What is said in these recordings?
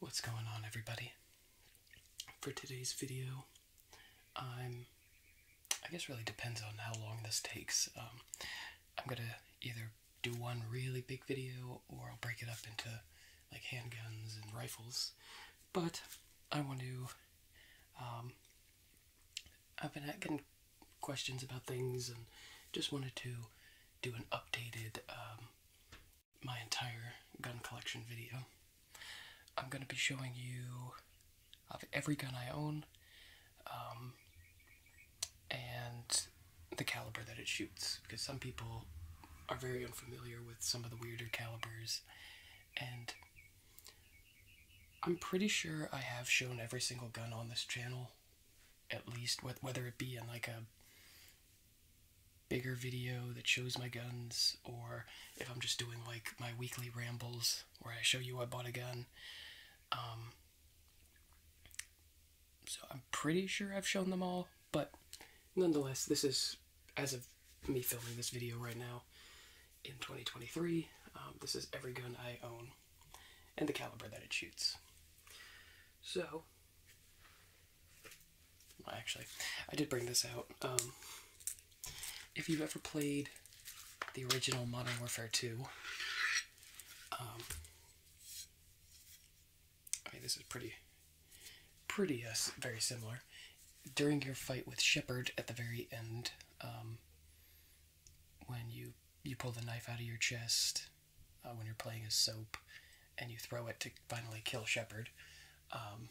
What's going on, everybody? For today's video, I'm. I guess really depends on how long this takes. Um, I'm gonna either do one really big video or I'll break it up into like handguns and rifles. But I want to. Um, I've been getting questions about things and just wanted to do an updated um, my entire gun collection video. I'm going to be showing you of every gun I own um, and the caliber that it shoots, because some people are very unfamiliar with some of the weirder calibers, and I'm pretty sure I have shown every single gun on this channel, at least, whether it be in like a bigger video that shows my guns, or if I'm just doing like my weekly rambles where I show you I bought a gun. Um, so I'm pretty sure I've shown them all, but nonetheless, this is as of me filming this video right now in 2023. Um, this is every gun I own and the caliber that it shoots. So, well, actually, I did bring this out. Um, if you've ever played the original Modern Warfare 2, um, I mean, this is pretty, pretty uh, very similar. During your fight with Shepard at the very end, um, when you you pull the knife out of your chest uh, when you're playing a Soap, and you throw it to finally kill Shepard. Um,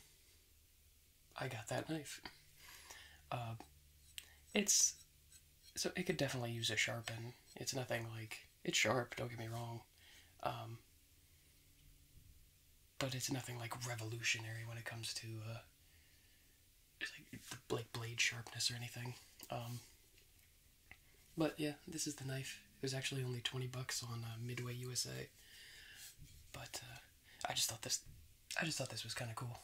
I got that knife. Uh, it's so it could definitely use a sharpen. It's nothing like it's sharp. Don't get me wrong, um, but it's nothing like revolutionary when it comes to uh, like, blade sharpness or anything. Um, but yeah, this is the knife. It was actually only 20 bucks on uh, Midway USA. But uh, I just thought this I just thought this was kind of cool.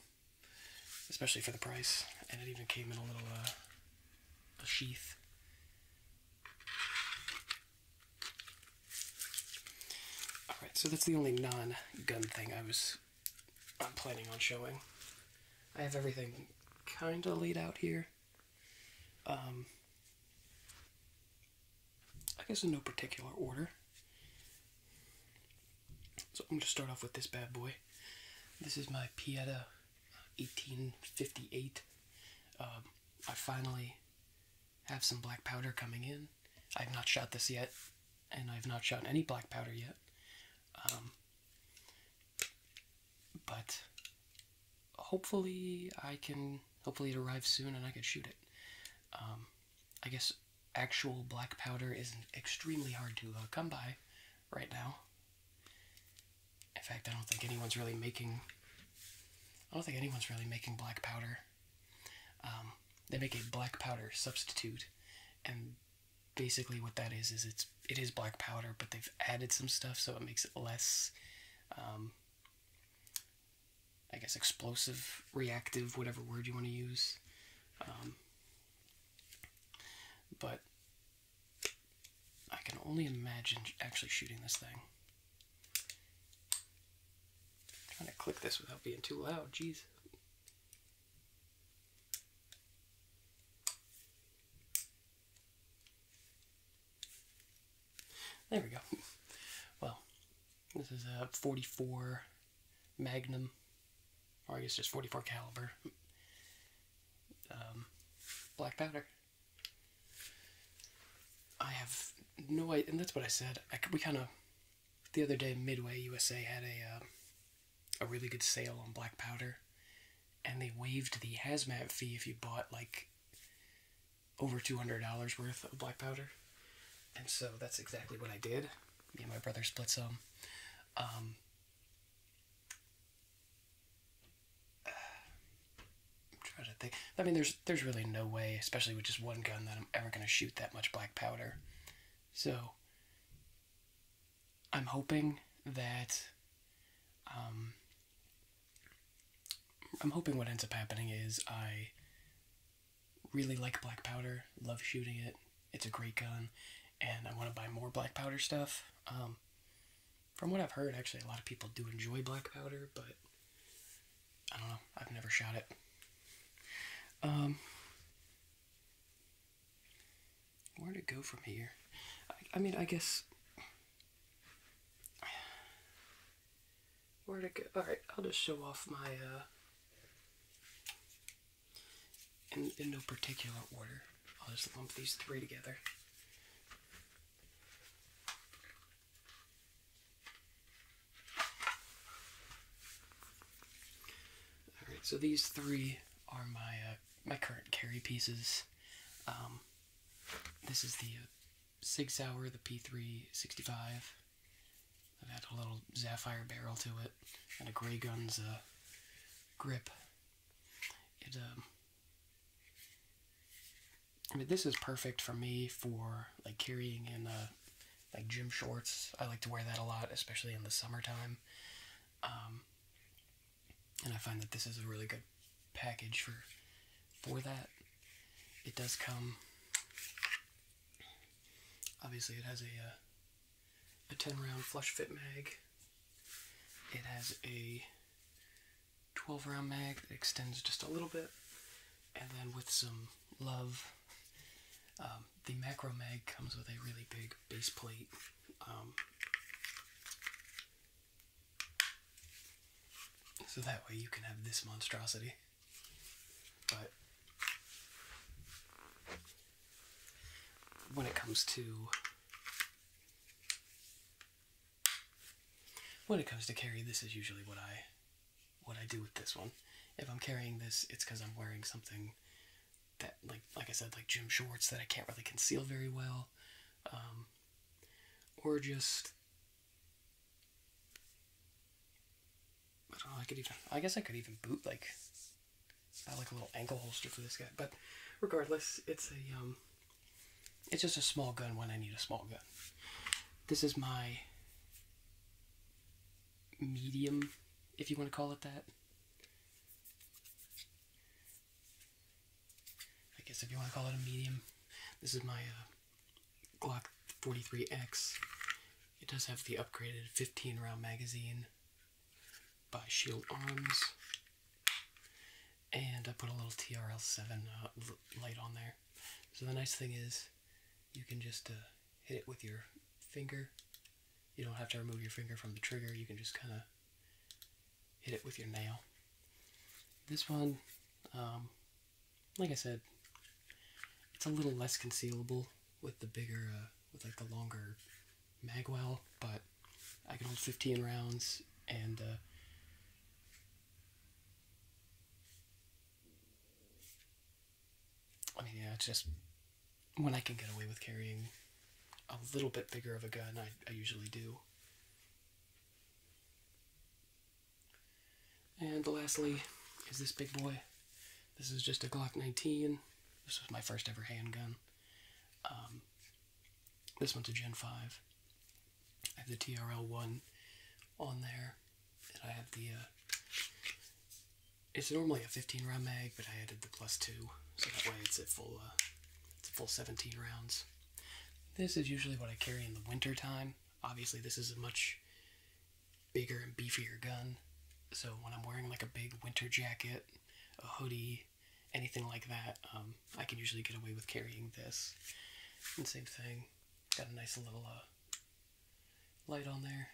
Especially for the price. And it even came in a little uh, sheath. Alright, so that's the only non-gun thing I was planning on showing. I have everything kind of laid out here. Um, I guess in no particular order. So I'm going to start off with this bad boy. This is my Pieta 1858. Uh, um, I finally have some black powder coming in. I've not shot this yet, and I've not shot any black powder yet. Um, but hopefully I can hopefully it arrives soon and I can shoot it. Um, I guess actual black powder is extremely hard to uh, come by right now. In fact, I don't think anyone's really making. I don't think anyone's really making black powder. Um, they make a black powder substitute, and basically what that is is it's it is black powder, but they've added some stuff so it makes it less um, I guess explosive, reactive, whatever word you want to use. Um, but I can only imagine actually shooting this thing. trying to click this without being too loud, jeez. There we go. Well, this is a 44 Magnum, I guess it's 44 caliber um, black powder. I have no and that's what I said. I, we kind of the other day Midway USA had a uh, a really good sale on black powder, and they waived the hazmat fee if you bought like over $200 worth of black powder. And so that's exactly what I did. Me and my brother split some. Um, I'm trying to think. I mean, there's there's really no way, especially with just one gun, that I'm ever going to shoot that much black powder. So I'm hoping that um, I'm hoping what ends up happening is I really like black powder, love shooting it, it's a great gun, and I want to buy more black powder stuff. Um, from what I've heard, actually, a lot of people do enjoy black powder, but I don't know, I've never shot it. Um, where to go from here? I mean, I guess where to go? All right, I'll just show off my uh, in in no particular order. I'll just lump these three together. All right, so these three are my uh, my current carry pieces. Um, this is the uh, Sig Sauer, the P3 I've had a little sapphire barrel to it, and a Grey Guns uh, grip. It, um, I mean, this is perfect for me for like carrying in uh, like gym shorts. I like to wear that a lot, especially in the summertime. Um, and I find that this is a really good package for for that. It does come. Obviously, it has a uh, a 10 round flush fit mag. It has a 12 round mag that extends just a little bit, and then with some love, um, the macro mag comes with a really big base plate. Um, so that way you can have this monstrosity. But when it comes to when it comes to carry, this is usually what I what I do with this one. If I'm carrying this, it's because I'm wearing something that, like, like I said, like gym shorts that I can't really conceal very well, um, or just I don't know, I could even I guess I could even boot like uh, I like a little ankle holster for this guy. But regardless, it's a um it's just a small gun when I need a small gun. This is my medium, if you want to call it that. I guess if you want to call it a medium. This is my uh, Glock 43X. It does have the upgraded 15 round magazine by Shield Arms. And I put a little TRL7 uh, light on there. So the nice thing is you can just uh, hit it with your finger. You don't have to remove your finger from the trigger. You can just kind of hit it with your nail. This one, um, like I said, it's a little less concealable with the bigger, uh, with like the longer magwell, but I can hold 15 rounds and uh, I mean, yeah, it's just when I can get away with carrying a little bit bigger of a gun, I, I usually do. And lastly is this big boy. This is just a Glock 19. This was my first ever handgun. Um, this one's a Gen 5. I have the TRL 1 on there. I have the. Uh, it's normally a 15 round mag, but I added the plus 2. So that way it's at full, uh, it's full 17 rounds. This is usually what I carry in the winter time. Obviously, this is a much bigger and beefier gun. So when I'm wearing like a big winter jacket, a hoodie, anything like that, um, I can usually get away with carrying this. And same thing, got a nice little uh, light on there,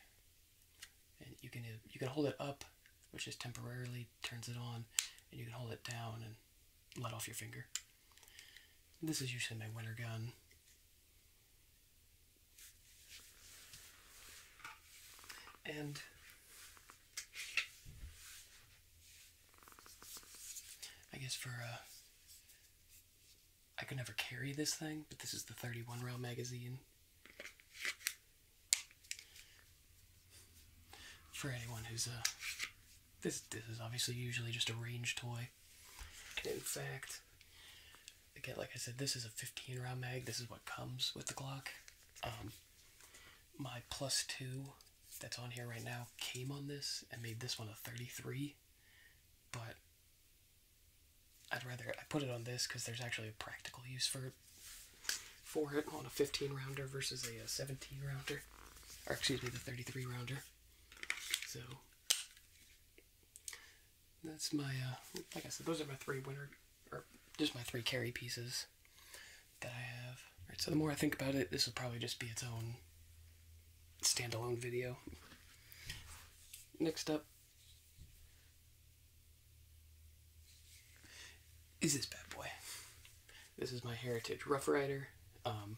and you can uh, you can hold it up, which just temporarily turns it on, and you can hold it down and let off your finger. This is usually my winter gun. And I guess for uh I could never carry this thing, but this is the 31 round magazine. For anyone who's uh this this is obviously usually just a range toy in fact, again, like I said, this is a 15 round mag. This is what comes with the Glock. Um, my plus two that's on here right now came on this and made this one a 33, but I'd rather I put it on this because there's actually a practical use for it for it on a 15 rounder versus a 17 rounder, or excuse me, the 33 rounder. So that's my, uh, like I said, those are my three winter, or just my three carry pieces that I have. Alright, so the more I think about it, this will probably just be its own standalone video. Next up is this bad boy. This is my Heritage Rough Rider. Um,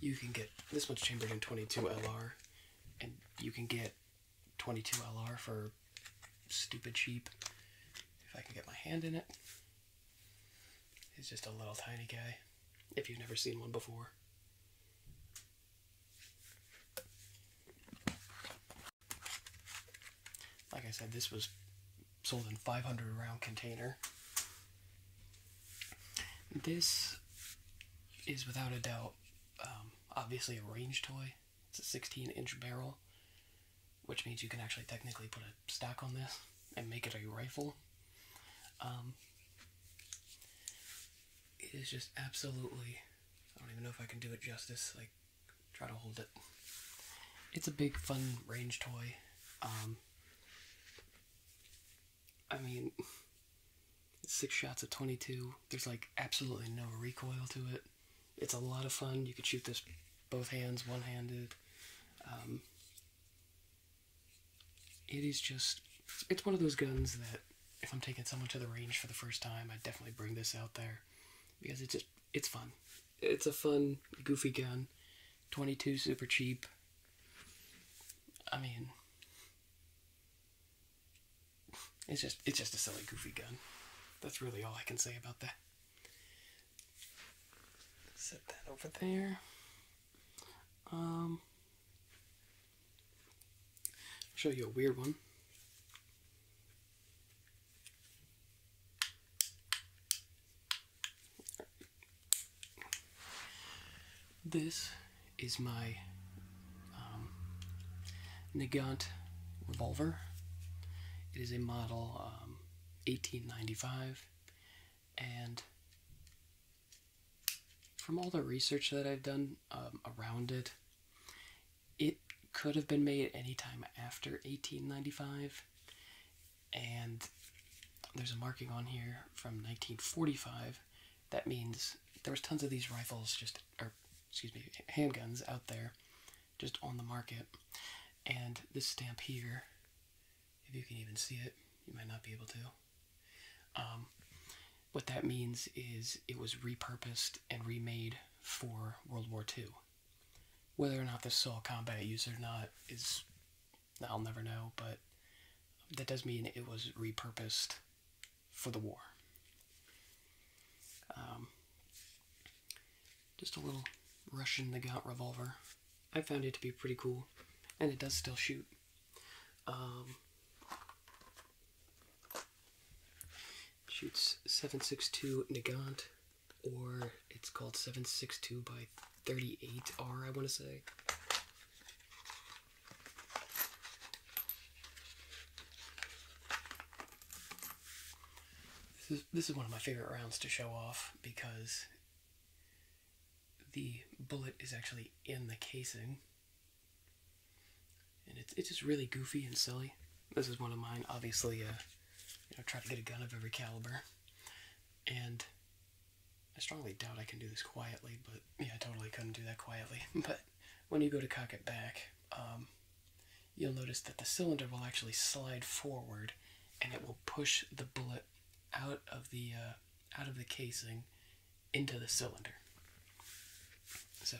you can get this much chambered in 22 LR, and you can get 22 LR for stupid cheap. If I can get my hand in it, it's just a little tiny guy. If you've never seen one before. Like I said, this was sold in 500 round container. This is without a doubt um, obviously a range toy. It's a 16 inch barrel, which means you can actually technically put a stock on this and make it a rifle. Um, it is just absolutely, I don't even know if I can do it justice. Like, try to hold it. It's a big, fun range toy. Um, I mean, six shots at 22. There's like absolutely no recoil to it. It's a lot of fun. You could shoot this both hands, one handed. Um, it is just, it's one of those guns that if I'm taking someone to the range for the first time, I definitely bring this out there because it's just, it's fun. It's a fun, goofy gun. 22 super cheap. I mean, it's just it's just a silly goofy gun. That's really all I can say about that. Set that over there. Um, show you a weird one. This is my um, Nagant revolver. It is a model 1895, um, and from all the research that I've done um, around it, it could have been made any time after 1895 and there's a marking on here from 1945. That means there was tons of these rifles, just or excuse me, handguns out there, just on the market. And this stamp here, if you can even see it, you might not be able to. Um, what that means is it was repurposed and remade for World War II. Whether or not this sole combat use or not is I'll never know, but that does mean it was repurposed for the war. Um, just a little Russian Nagant revolver. I found it to be pretty cool, and it does still shoot. Um, shoots 7.62 Nagant, or it's called 7.62 by 38R, I want to say. This is, one of my favorite rounds to show off because the bullet is actually in the casing. And it's, it's just really goofy and silly. This is one of mine, obviously, uh, you know, try to get a gun of every caliber. And I strongly doubt I can do this quietly, but yeah, I totally couldn't do that quietly. but when you go to cock it back, um, you'll notice that the cylinder will actually slide forward, and it will push the bullet out of the uh, out of the casing into the cylinder. So.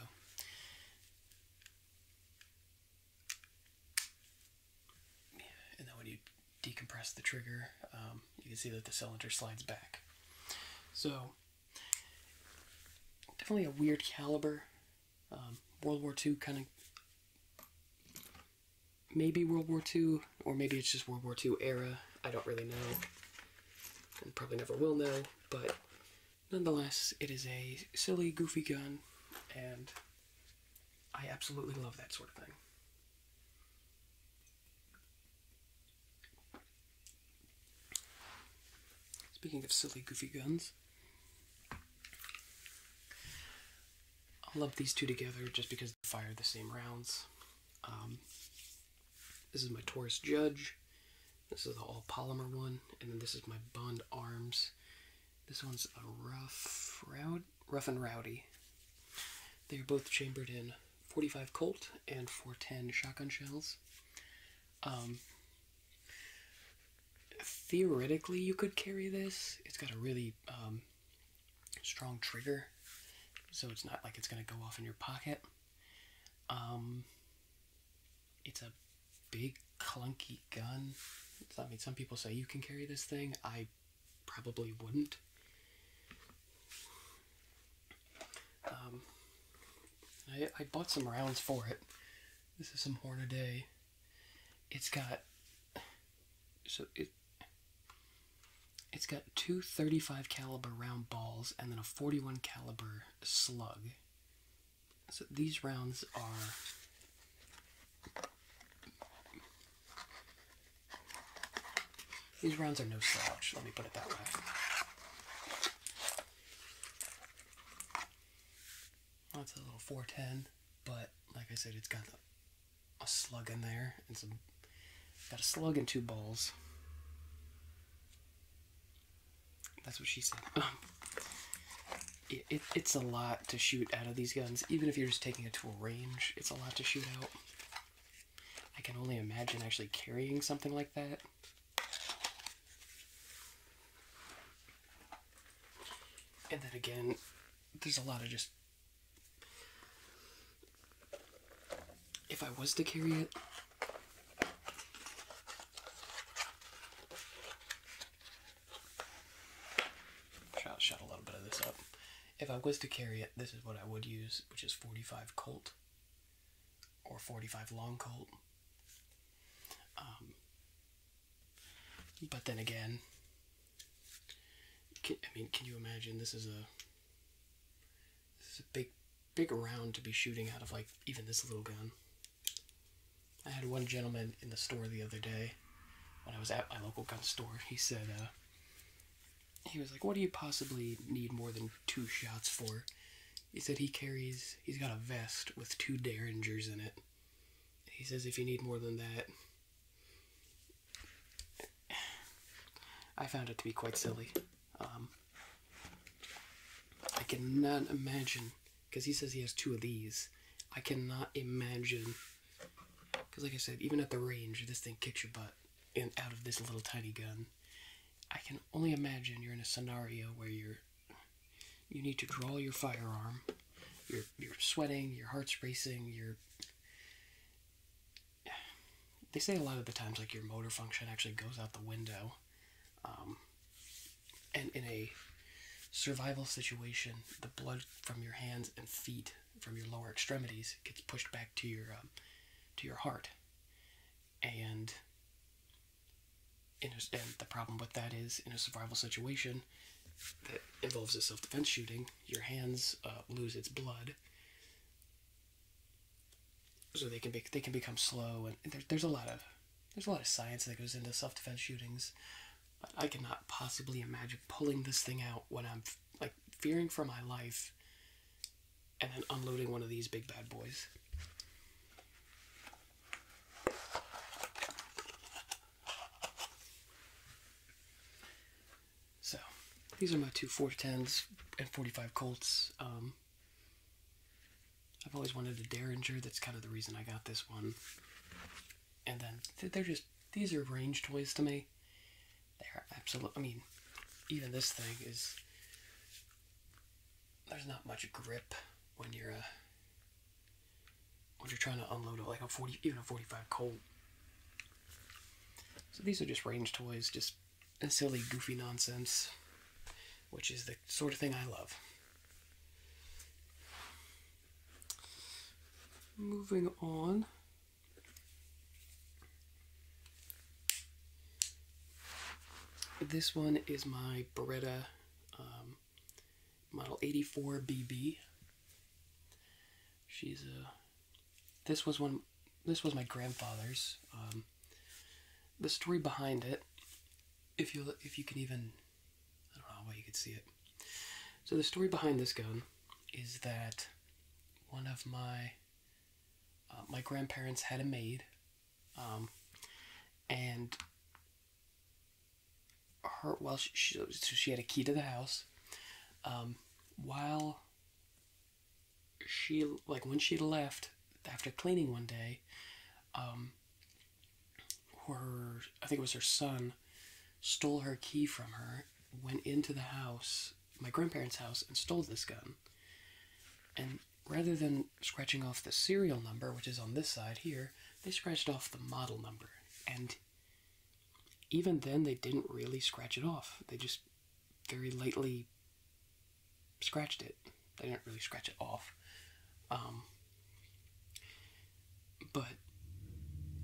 and then when you decompress the trigger, um, you can see that the cylinder slides back. So, definitely a weird caliber. Um, World War II kind of maybe World War II, or maybe it's just World War II era. I don't really know, and probably never will know, but nonetheless, it is a silly, goofy gun, and I absolutely love that sort of thing. Speaking of silly, goofy guns, I love these two together just because they fire the same rounds. Um, this is my Taurus Judge. This is the all polymer one, and then this is my Bond Arms. This one's a rough rough and rowdy. They are both chambered in 45 Colt and 410 shotgun shells. Um, theoretically, you could carry this. It's got a really um, strong trigger, so it's not like it's going to go off in your pocket. Um, it's a big, clunky gun. It's, I mean, some people say you can carry this thing. I probably wouldn't. Um, I, bought some rounds for it. This is some Hornaday. It's got so it it's got two 35 caliber round balls and then a 41 caliber slug. So these rounds are these rounds are no slouch, let me put it that way. That's a little 410, but like I said, it's got a, slug in there It's got a slug in two balls. That's what she said. Um, it's a lot to shoot out of these guns, even if you're just taking it to a range. It's a lot to shoot out. I can only imagine actually carrying something like that. And then again, there's a lot of just. If I was to carry it, I'll shut a little bit of this up if I was to carry it, this is what I would use, which is 45 Colt or 45 Long Colt. Um, but then again, I mean, can you imagine? This is a this is a big, big round to be shooting out of, like even this little gun. I had one gentleman in the store the other day when I was at my local gun store. He said, uh, he was like, "What do you possibly need more than two shots for?" He said he carries. He's got a vest with two derringers in it. He says if you need more than that. I found it to be quite silly. Um, I cannot imagine, because he says he has two of these. I cannot imagine, because like I said, even at the range, this thing kicks your butt. And out of this little tiny gun. I can only imagine you're in a scenario where you're you need to draw your firearm. You're you're sweating, your heart's racing, you're they say a lot of the times like your motor function actually goes out the window. Um, and in a survival situation, the blood from your hands and feet from your lower extremities gets pushed back to your um, to your heart, and in the problem with that is in a survival situation that involves a self-defense shooting, your hands uh, lose its blood, so they can be they can become slow, and there, there's a lot of there's a lot of science that goes into self-defense shootings. But I cannot possibly imagine pulling this thing out when I'm like fearing for my life and then unloading one of these big bad boys. So, these are my two 410s and 45 Colts. Um, I've always wanted a Derringer. That's kind of the reason I got this one. And then they're just, these are range toys to me. They're absolute. I mean, even this thing is. There's not much grip when you're uh, when you're trying to unload it like a forty, even a forty-five Colt. So these are just range toys, just silly, goofy nonsense, which is the sort of thing I love. Moving on, this one is my Beretta um, Model 84BB. She's a. Uh, this was one. This was my grandfather's. Um, the story behind it, if you if you can even, I don't know how you could see it. So the story behind this gun is that one of my uh, my grandparents had a maid, um, and her well she, she, had a key to the house. Um, while she like when she left after cleaning one day, um, her I think it was her son stole her key from her, went into the house my grandparents' house and stole this gun. And rather than scratching off the serial number, which is on this side here, they scratched off the model number. And even then, they didn't really scratch it off. They just very lightly scratched it. They didn't really scratch it off. Um, but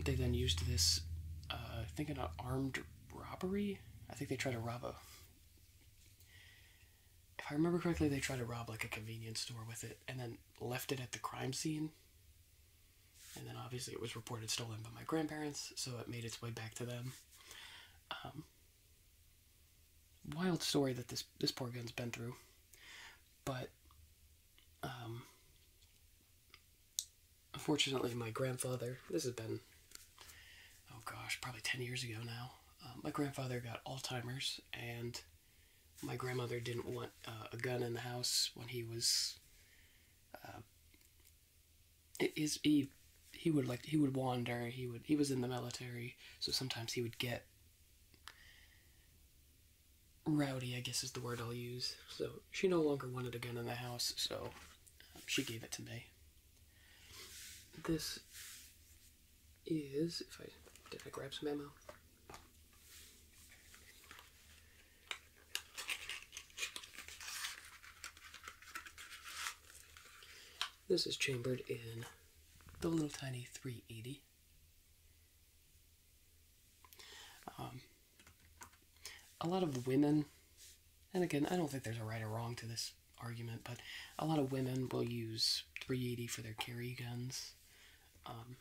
they then used this, uh, I think, an armed robbery. I think they tried to rob a. If I remember correctly, they tried to rob like a convenience store with it, and then left it at the crime scene. And then obviously it was reported stolen by my grandparents, so it made its way back to them. Um, wild story that this this poor gun's been through, but um, unfortunately, my grandfather, this has been, oh gosh, probably 10 years ago now, um, my grandfather got Alzheimer's, and my grandmother didn't want uh, a gun in the house when he was. Uh, he he would like he would wander he would he was in the military so sometimes he would get rowdy i guess is the word i'll use so she no longer wanted a gun in the house so um, she gave it to me this is, if I did I grab some ammo? This is chambered in the little tiny 380. Um, a lot of women, and again, I don't think there's a right or wrong to this argument, but a lot of women will use 380 for their carry guns. Um,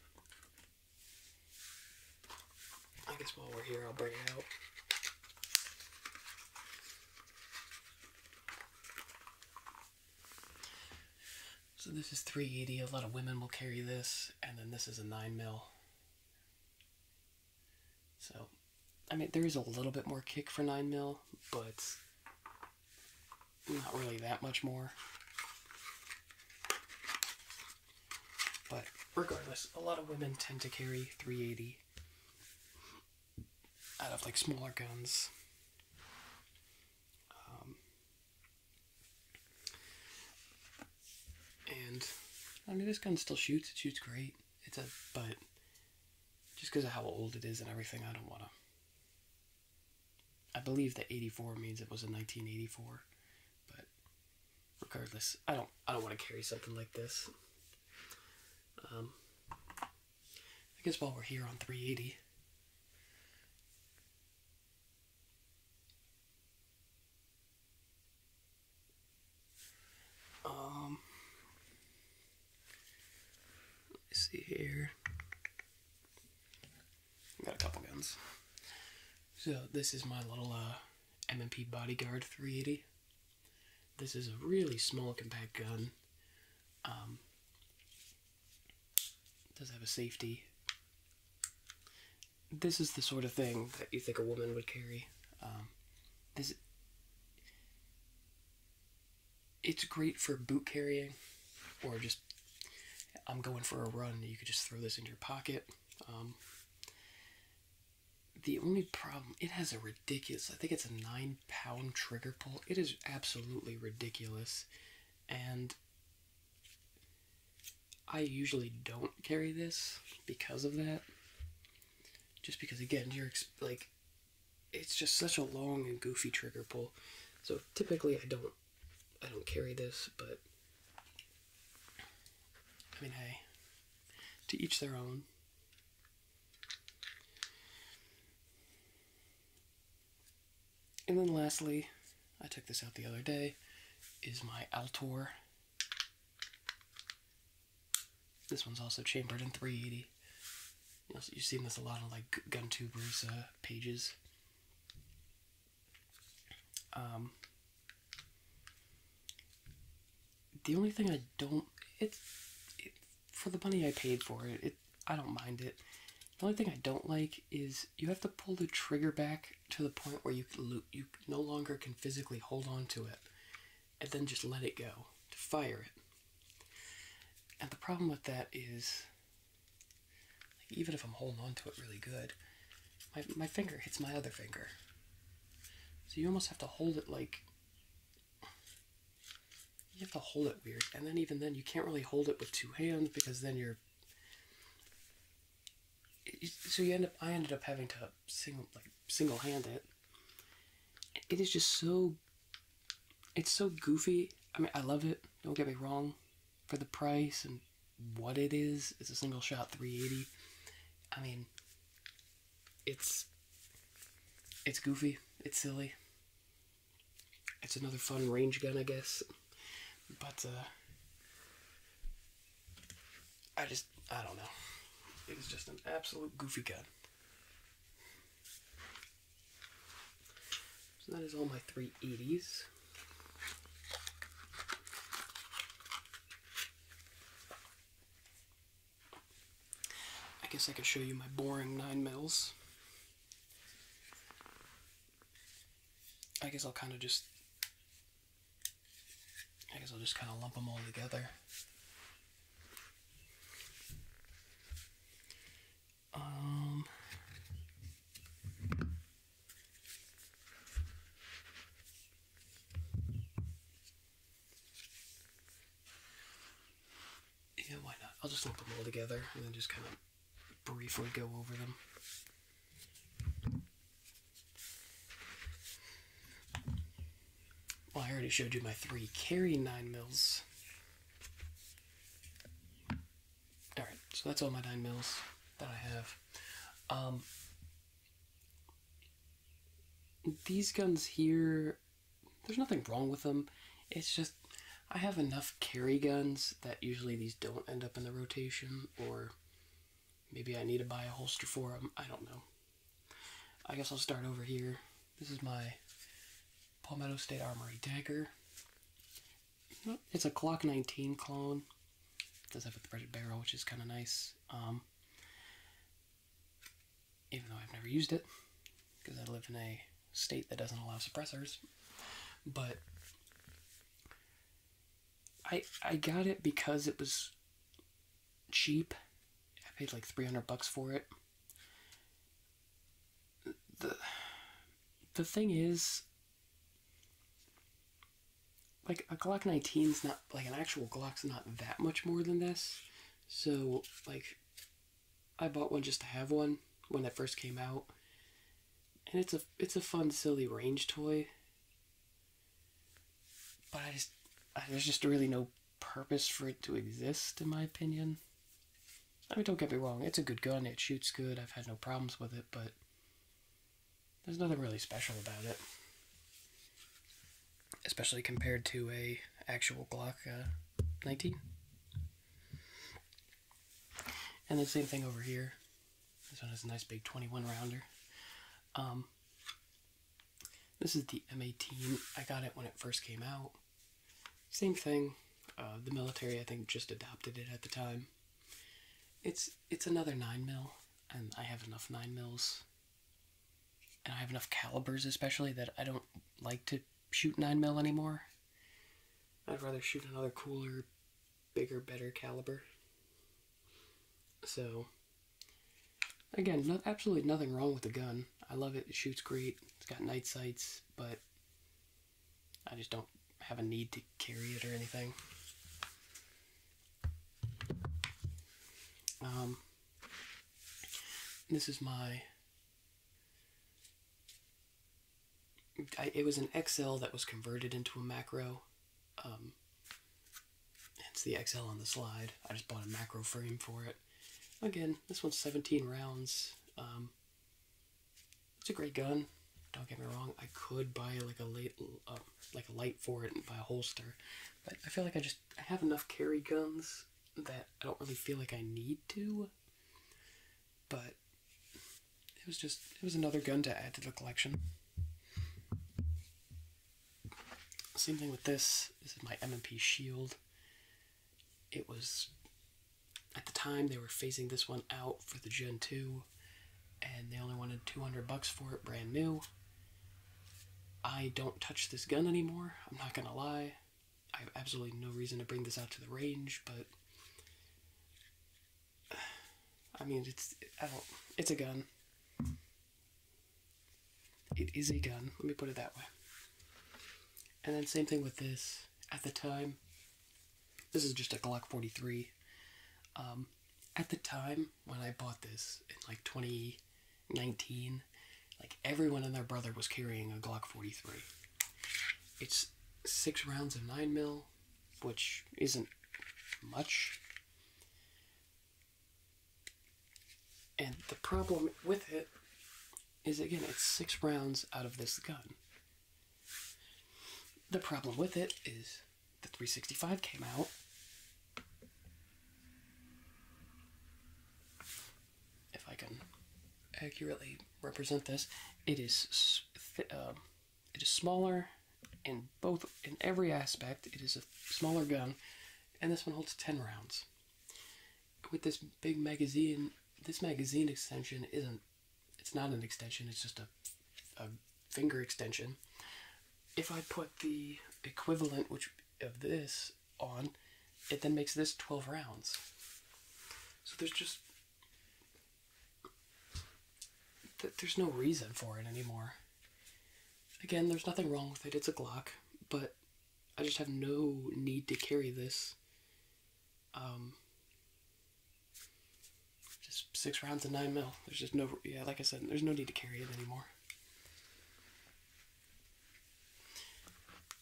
I guess while we're here, I'll bring it out. So this is 380. A lot of women will carry this, and then this is a 9 mil. So, I mean, there is a little bit more kick for 9 mil, but not really that much more. But regardless, a lot of women tend to carry 380 out of like smaller guns. Um, and I mean, this gun still shoots. It shoots great. It's a but just because of how old it is and everything, I don't want to. I believe that 84 means it was in 1984, but regardless, I don't I don't want to carry something like this. Um, I guess while we're here on 380, um, see here. got a couple guns. So this is my little uh, M&P Bodyguard 380. This is a really small, compact gun. Um, does have a safety. This is the sort of thing that you think a woman would carry. Um, this it's great for boot carrying or just i'm going for a run you could just throw this in your pocket um, the only problem it has a ridiculous i think it's a nine pound trigger pull it is absolutely ridiculous and i usually don't carry this because of that just because again you're like it's just such a long and goofy trigger pull. So typically I don't I don't carry this, but I mean hey, to each their own. And then lastly, I took this out the other day, is my Altor this one's also chambered in 380. You have seen this a lot on like gun tubers uh, pages. Um, the only thing I don't it, for the money I paid for it, I don't mind it. The only thing I don't like is you have to pull the trigger back to the point where you no longer can physically hold on to it and then just let it go to fire it. And the problem with that is, even if I'm holding on to it really good, my, my finger hits my other finger. So you almost have to hold it like, you have to hold it weird. And then even then, you can't really hold it with two hands because then you're, so you end up, I ended up having to single, like, single handed. It is just so it's so goofy. I mean, I love it. Don't get me wrong. For the price and what it is, it's a single shot 380. I mean, it's it's goofy. It's silly. It's another fun range gun, I guess. But uh, I just I don't know. It is just an absolute goofy gun. So that is all my 380s. I guess I can show you my boring 9 mils. I guess I'll kind of just I guess I'll just kind of lump them all together. Um, yeah, why not? I'll just lump them all together and then just kind of briefly go over them. Well, I already showed you my three carry nine mils. All right, so that's all my nine mils that I have. Um, these guns here, there's nothing wrong with them. It's just I have enough carry guns that usually these don't end up in the rotation, or maybe I need to buy a holster for them. I don't know. I guess I'll start over here. This is my Palmetto State Armory dagger. It's a Glock 19 clone. It does have a threaded barrel, which is kind of nice. Um, even though I've never used it, because I live in a state that doesn't allow suppressors. But I I got it because it was cheap. I paid like 300 bucks for it the the thing is like a Glock nineteen is not like an actual Glock's not that much more than this. So like I bought one just to have one when it first came out. And it's a it's a fun silly range toy. But I just I, there's just really no purpose for it to exist, in my opinion. I mean, don't get me wrong, it's a good gun, it shoots good, I've had no problems with it, but there's nothing really special about it. Especially compared to a actual Glock uh, 19. And the same thing over here. This one has a nice big 21 rounder. Um, this is the M18. I got it when it first came out. Same thing. Uh, the military, I think, just adopted it at the time. It's it's another nine mil, and I have enough nine mils, and I have enough calibers, especially that I don't like to shoot nine mil anymore. I'd rather shoot another cooler, bigger, better caliber. So, again, absolutely nothing wrong with the gun. I love it. It shoots great. It's got night sights, but I just don't have a need to carry it or anything. Um, this is my. it was an XL that was converted into a macro. Um, it's the XL on the slide. I just bought a macro frame for it. Again, this one's 17 rounds. Um, it's a great gun. Don't get me wrong. I could buy like a late, uh, like a light for it and buy a holster, but I feel like I just I have enough carry guns that I don't really feel like I need to. But it was just it was another gun to add to the collection. Same thing with this. This is my M&P Shield it was at the time they were phasing this one out for the Gen 2 and they only wanted 200 bucks for it brand new. I don't touch this gun anymore, I'm not gonna lie. I have absolutely no reason to bring this out to the range, but I mean, it's I don't. It's a gun. It is a gun, let me put it that way. And then same thing with this. At the time, this is just a Glock 43. Um, at the time when I bought this in like 2019, like everyone and their brother was carrying a Glock 43. It's six rounds of 9 mil, which isn't much. And the problem with it is again, it's six rounds out of this gun. The problem with it is the 365 came out. If I can accurately represent this, it is um, it is smaller in both in every aspect. It is a smaller gun, and this one holds ten rounds. With this big magazine, this magazine extension isn't, it's not an extension, it's just a, finger extension. If I put the equivalent which of this on, it then makes this 12 rounds. So there's just, there's no reason for it anymore. Again, there's nothing wrong with it, it's a Glock, but I just have no need to carry this. Um, just six rounds of nine mil. There's just no, yeah, like I said, there's no need to carry it anymore.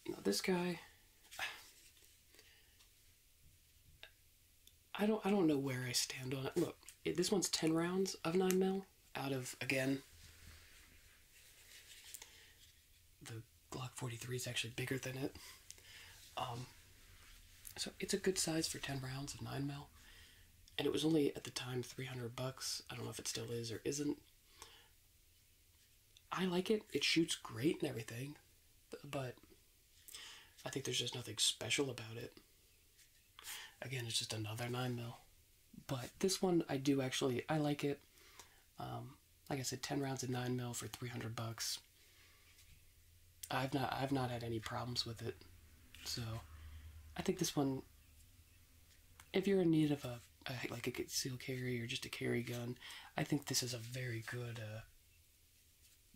Now this guy, I don't, I don't know where I stand on it. Look, this one's ten rounds of nine mil out of again the Glock 43 is actually bigger than it. Um, so it's a good size for 10 rounds of 9 mm And it was only at the time 300 bucks. I don't know if it still is or isn't. I like it. It shoots great and everything, but I think there's just nothing special about it. Again, it's just another 9 mm But this one I do actually I like it. Um, like I said, ten rounds of nine mil for three hundred bucks. I've not I've not had any problems with it, so I think this one. If you're in need of a, like a concealed carry or just a carry gun, I think this is a very good. Uh,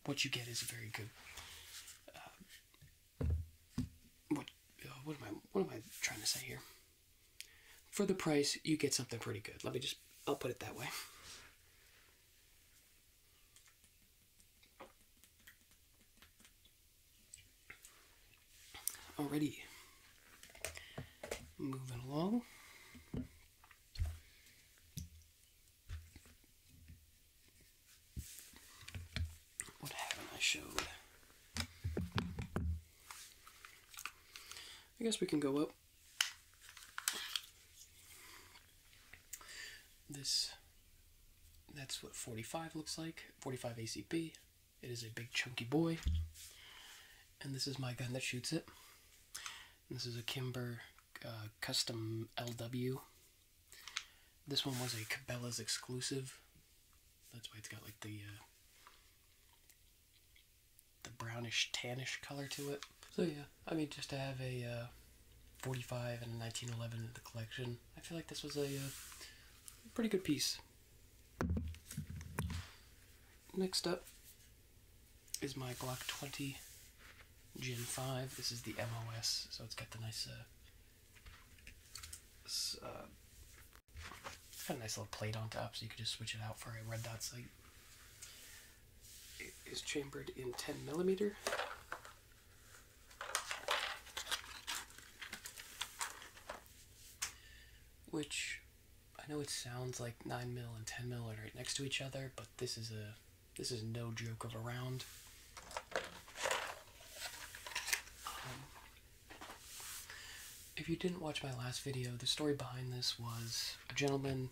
what you get is a very good. Uh, what uh, what am I what am I trying to say here? For the price, you get something pretty good. Let me just, I'll put it that way. Already moving along. What haven't I showed? I guess we can go up this, that's what 45 looks like, 45 ACP. It is a big chunky boy. And this is my gun that shoots it. This is a Kimber uh, Custom LW. This one was a Cabela's exclusive. That's why it's got like the uh, the brownish tannish color to it. So yeah, I mean just to have a uh, 45 and a 1911 in the collection, I feel like this was a uh, pretty good piece. Next up is my Glock 20 Gen 5. This is the MOS, so it's got the nice uh, got a nice little plate on top, so you could just switch it out for a red dot sight. It is chambered in 10 millimeter. Which I know it sounds like 9 mil and 10 mil are right next to each other, but this is a this is no joke of a round. Um, if you didn't watch my last video, the story behind this was a gentleman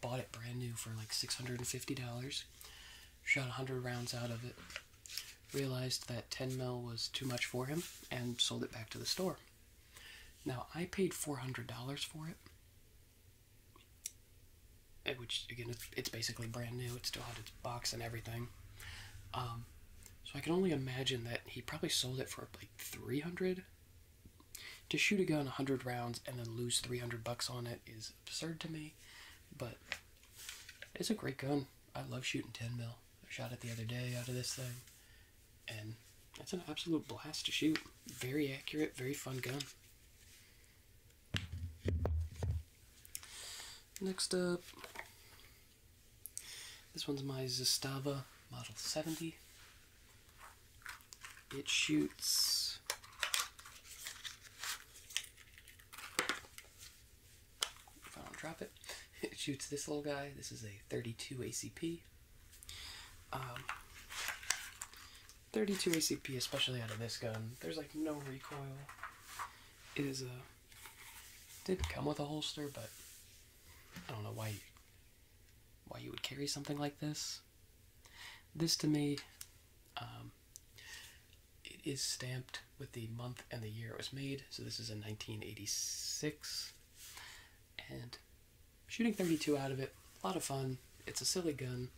bought it brand new for like $650, shot 100 rounds out of it, realized that 10 mil was too much for him, and sold it back to the store. Now, I paid $400 for it, eh, which again, it's basically brand new, it still had its box and everything. Um, so I can only imagine that he probably sold it for like 300 to shoot a gun 100 rounds and then lose 300 bucks on it is absurd to me, but it's a great gun. I love shooting 10 mil. I shot it the other day out of this thing, and it's an absolute blast to shoot. Very accurate, very fun gun. Next up, this one's my Zastava Model 70 it shoots if I don't drop it, it shoots this little guy. This is a 32 ACP. Um, 32 ACP, especially out of this gun, there's like no recoil. It is a didn't come with a holster, but I don't know why why you would carry something like this. This to me, um, it is stamped with the month and the year it was made. So this is in 1986, and shooting 32 out of it, a lot of fun. It's a silly gun.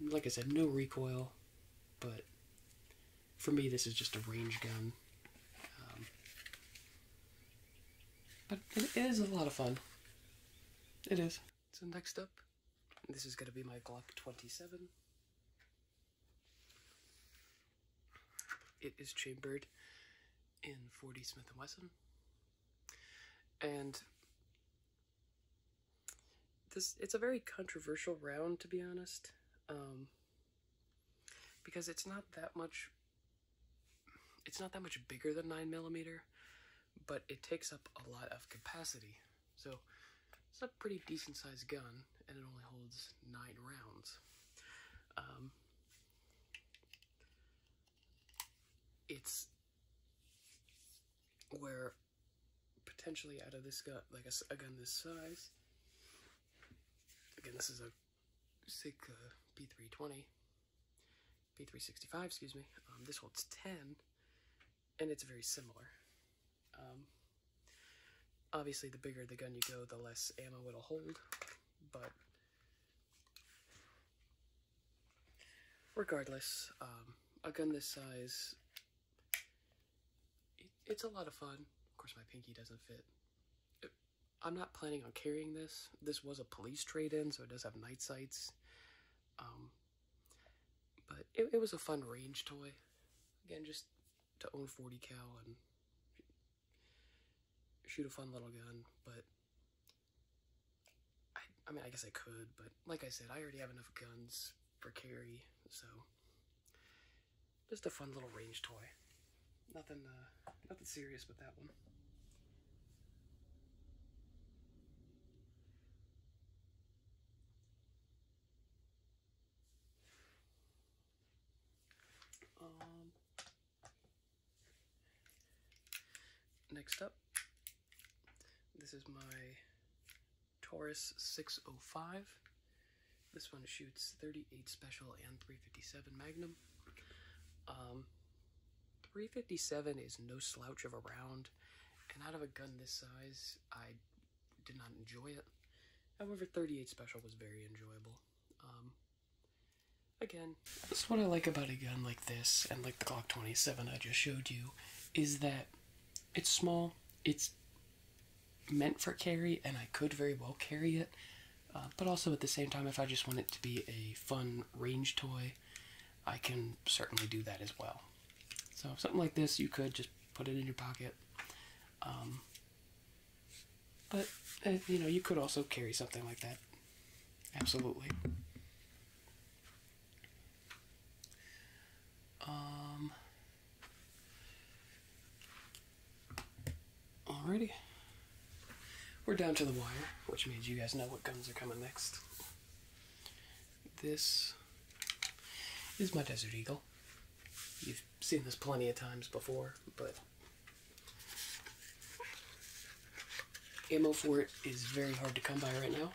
Like I said, no recoil, but for me, this is just a range gun. Um, but it is a lot of fun. It is. So next up, this is gonna be my Glock 27. It is chambered in 40 Smith & Wesson. And this it's a very controversial round to be honest. Um, because it's not that much it's not that much bigger than 9 millimeter, but it takes up a lot of capacity. So it's a pretty decent sized gun, and it only holds 9 rounds. Um, it's where potentially out of this gun, like a, gun this size, again, this is a SIG P320, P365, excuse me. Um, this holds 10, and it's very similar. Um, obviously, the bigger the gun you go, the less ammo it'll hold, but regardless, um, a gun this size, it's a lot of fun. Of course, my pinky doesn't fit. I'm not planning on carrying this. This was a police trade-in, so it does have night sights. Um, but it, was a fun range toy. Again, just to own 40 cal and shoot a fun little gun, but I, I mean, I guess I could, but like I said, I already have enough guns for carry, so just a fun little range toy. Nothing, uh, nothing serious with that one. Um, next up, this is my Taurus 605. This one shoots 38 special and 357 Magnum. Um, 357 is no slouch of a round, and out of a gun this size, I did not enjoy it. However, 38 special was very enjoyable. Um, again, that's what I like about a gun like this and like the Glock 27 I just showed you, is that it's small, it's meant for carry, and I could very well carry it. Uh, but also at the same time, if I just want it to be a fun range toy, I can certainly do that as well. So something like this, you could just put it in your pocket. Um, but uh, you know, you could also carry something like that. Absolutely. Um, alrighty. We're down to the wire, which means you guys know what guns are coming next. This is my Desert Eagle. You've seen this plenty of times before, but ammo for it is very hard to come by right now.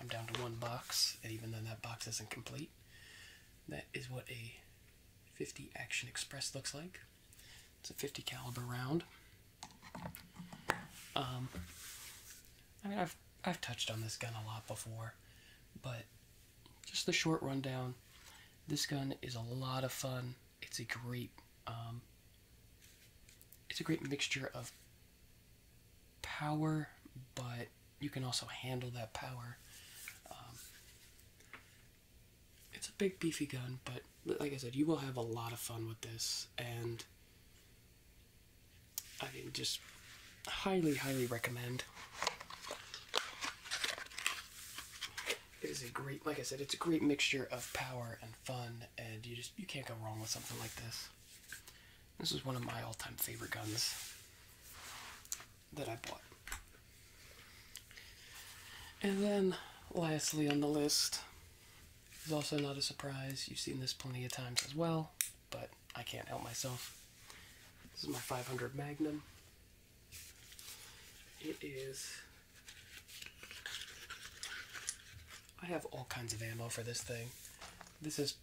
I'm down to one box, and even then that box isn't complete. That is what a 50 Action Express looks like. It's a 50 caliber round. Um, I mean, I've I've touched on this gun a lot before, but just the short rundown. This gun is a lot of fun. It's a great um, it's a great mixture of power, but you can also handle that power. Um, it's a big beefy gun, but like I said, you will have a lot of fun with this, and I mean, just highly, highly recommend. It is a great, like I said, it's a great mixture of power and fun, and you just you can't go wrong with something like this. This is one of my all-time favorite guns that I bought. And then, lastly on the list, is also not a surprise. You've seen this plenty of times as well, but I can't help myself. This is my 500 Magnum. It is. I have all kinds of ammo for this thing. This is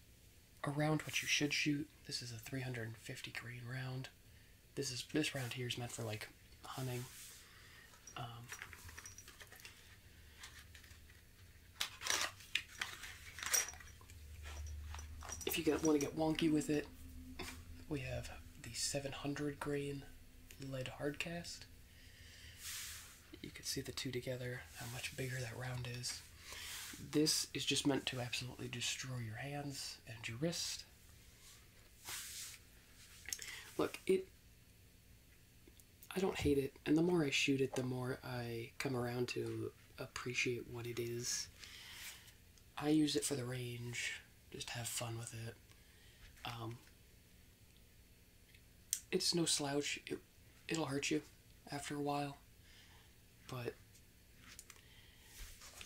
around what you should shoot. This is a 350 green round. This is this round here is meant for like hunting. Um, if you want to get wonky with it, we have the 700 grain lead hardcast. You can see the two together, how much bigger that round is. This is just meant to absolutely destroy your hands and your wrist. Look, it I don't hate it, and the more I shoot it, the more I come around to appreciate what it is. I use it for the range, just have fun with it. Um, it's no slouch. It, it'll hurt you after a while, but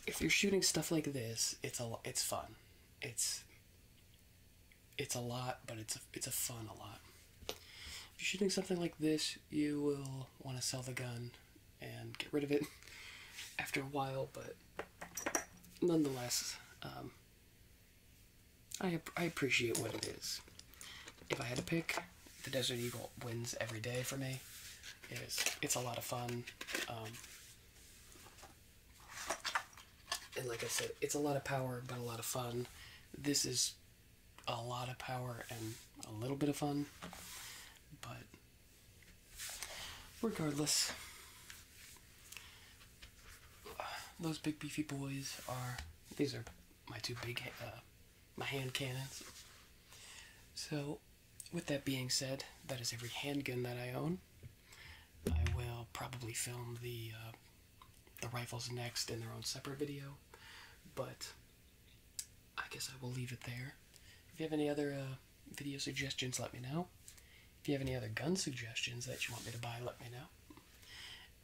if you're shooting stuff like this, it's a it's fun. It's it's a lot, but it's a, it's a fun a lot. If you're shooting something like this, you will want to sell the gun and get rid of it after a while, but nonetheless, um, I, I appreciate what it is. If I had to pick, the Desert Eagle wins every day for me. It is, it's a lot of fun. Um, and like I said, it's a lot of power, but a lot of fun. This is a lot of power and a little bit of fun, but regardless, those big beefy boys are these are my two big uh, my hand cannons. So, with that being said, that is every handgun that I own. I will probably film the uh, the rifles next in their own separate video, but I guess I will leave it there. If you have any other uh, video suggestions, let me know. If you have any other gun suggestions that you want me to buy, let me know.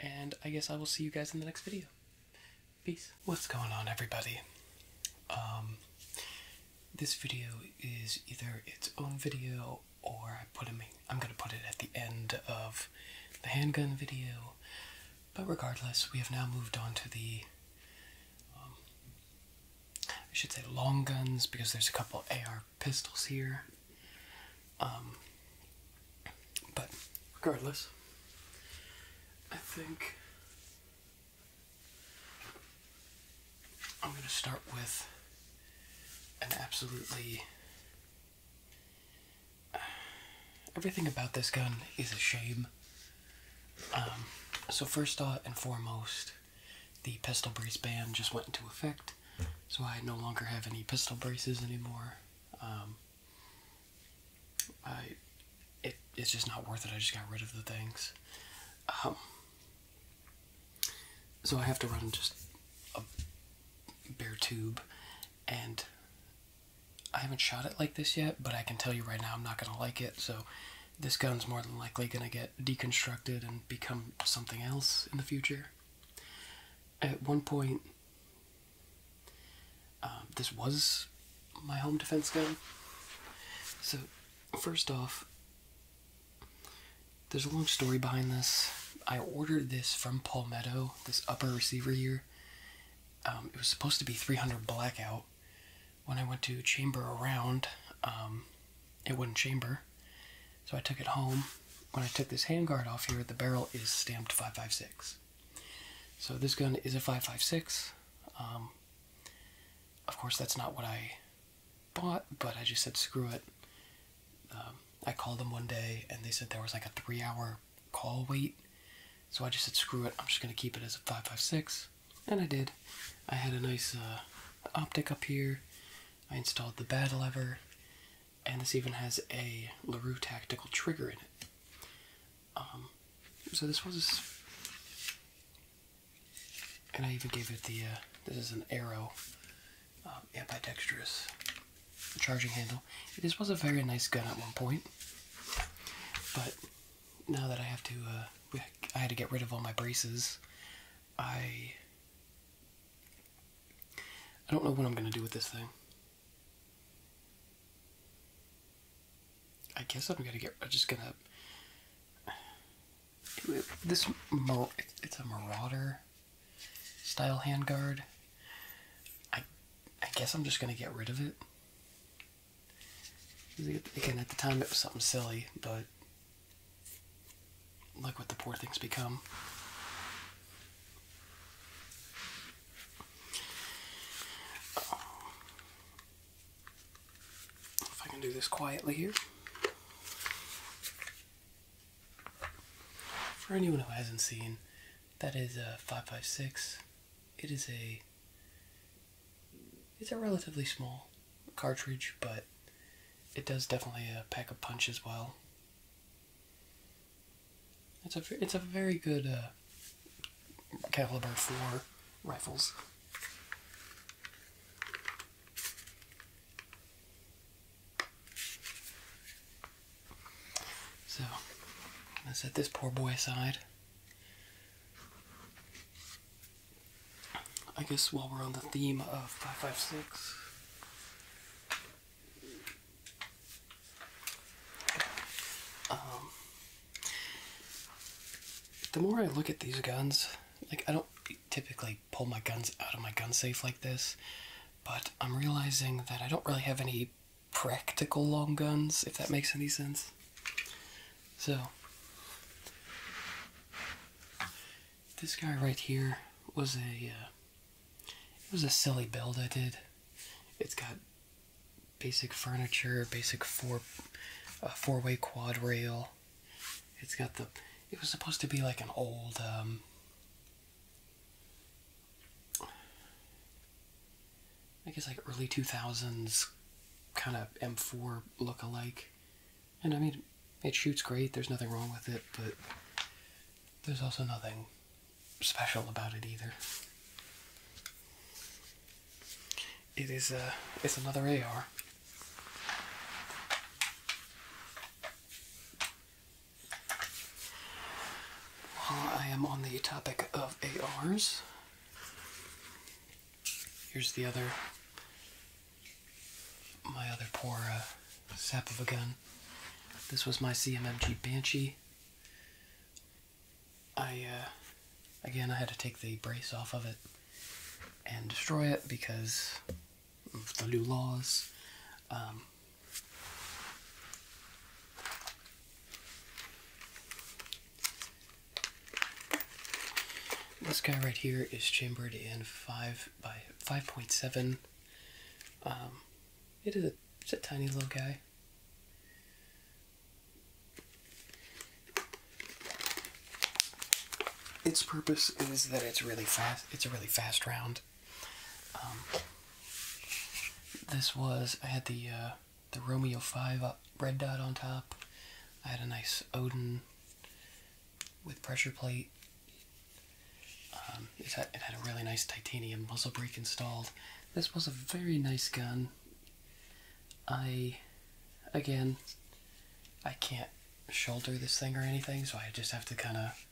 And I guess I will see you guys in the next video. Peace. What's going on, everybody? Um, this video is either its own video or I put him I'm gonna put it at the end of the handgun video. But regardless, we have now moved on to the um, I should say long guns because there's a couple AR pistols here. Um, but regardless, I think I'm going to start with an absolutely. Everything about this gun is a shame. Um, so, first and foremost, the pistol brace ban just went into effect, so I no longer have any pistol braces anymore. Um, I, it's just not worth it. I just got rid of the things. Um, so I have to run just a bare tube, and I haven't shot it like this yet, but I can tell you right now I'm not going to like it, so this gun's more than likely going to get deconstructed and become something else in the future. At one point, um, this was my home defense gun. So, first off, there's a long story behind this. I ordered this from Palmetto, this upper receiver here. Um, it was supposed to be 300 blackout. When I went to chamber around, um, it wouldn't chamber. So I took it home. When I took this handguard off here, the barrel is stamped 556. So this gun is a 556. Um, of course, that's not what I bought, but I just said screw it. Um, I called them one day and they said there was like a three hour call wait. So I just said screw it, I'm just gonna keep it as a 556. And I did. I had a nice uh, optic up here. I installed the bad lever, and this even has a LaRue tactical trigger in it. Um, so this was, and I even gave it the, uh, this is an arrow um, ambidextrous charging handle. This was a very nice gun at one point, but now that I have to, uh, I had to get rid of all my braces. I I don't know what I'm gonna do with this thing. I guess I'm gonna get. I'm just gonna. This it's a Marauder style handguard. I, I guess I'm just going to get rid of it. Again, at the time it was something silly, but look what the poor thing's become. if I can do this quietly here. For anyone who hasn't seen, that is a 556. It is a it's a relatively small cartridge, but it does definitely uh, pack a punch as well. It's a it's a very good uh, caliber for rifles. So, I'm gonna set this poor boy aside. I guess while we're on the theme of 556, um, the more I look at these guns, like I don't typically pull my guns out of my gun safe like this, but I'm realizing that I don't really have any practical long guns, if that makes any sense. So, this guy right here was a uh, it was a silly build I did. It's got basic furniture, basic four uh, four way quad rail. It's got the it was supposed to be like an old um, I guess like early 2000s kind of M4 look-alike. And I mean, it shoots great, there's nothing wrong with it, but there's also nothing special about it either. It is a, uh, it's another AR. While I am on the topic of ARs, here's the other, my other poor uh, sap of a gun. This was my CMMG Banshee. I, uh, again, I had to take the brace off of it and destroy it because of the new laws. Um, this guy right here is chambered in five by five point seven. Um, it is a, it's a tiny little guy. Its purpose is that it's really fast. It's a really fast round. Um, this was I had the uh, the Romeo Five red dot on top. I had a nice Odin with pressure plate. Um, it had a really nice titanium muzzle brake installed. This was a very nice gun. I, again, I can't shoulder this thing or anything, so I just have to kind of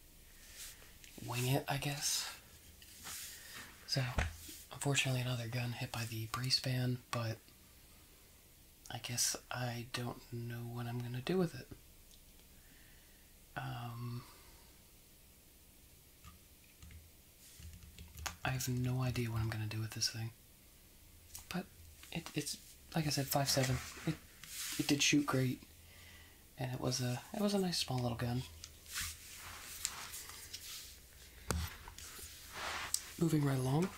wing it, I guess. So, unfortunately, another gun hit by the brace band, but I guess I don't know what I'm gonna do with it. Um, I have no idea what I'm gonna do with this thing, but it's like I said, five seven. it did shoot great and it was a it was a nice small little gun. Moving right along.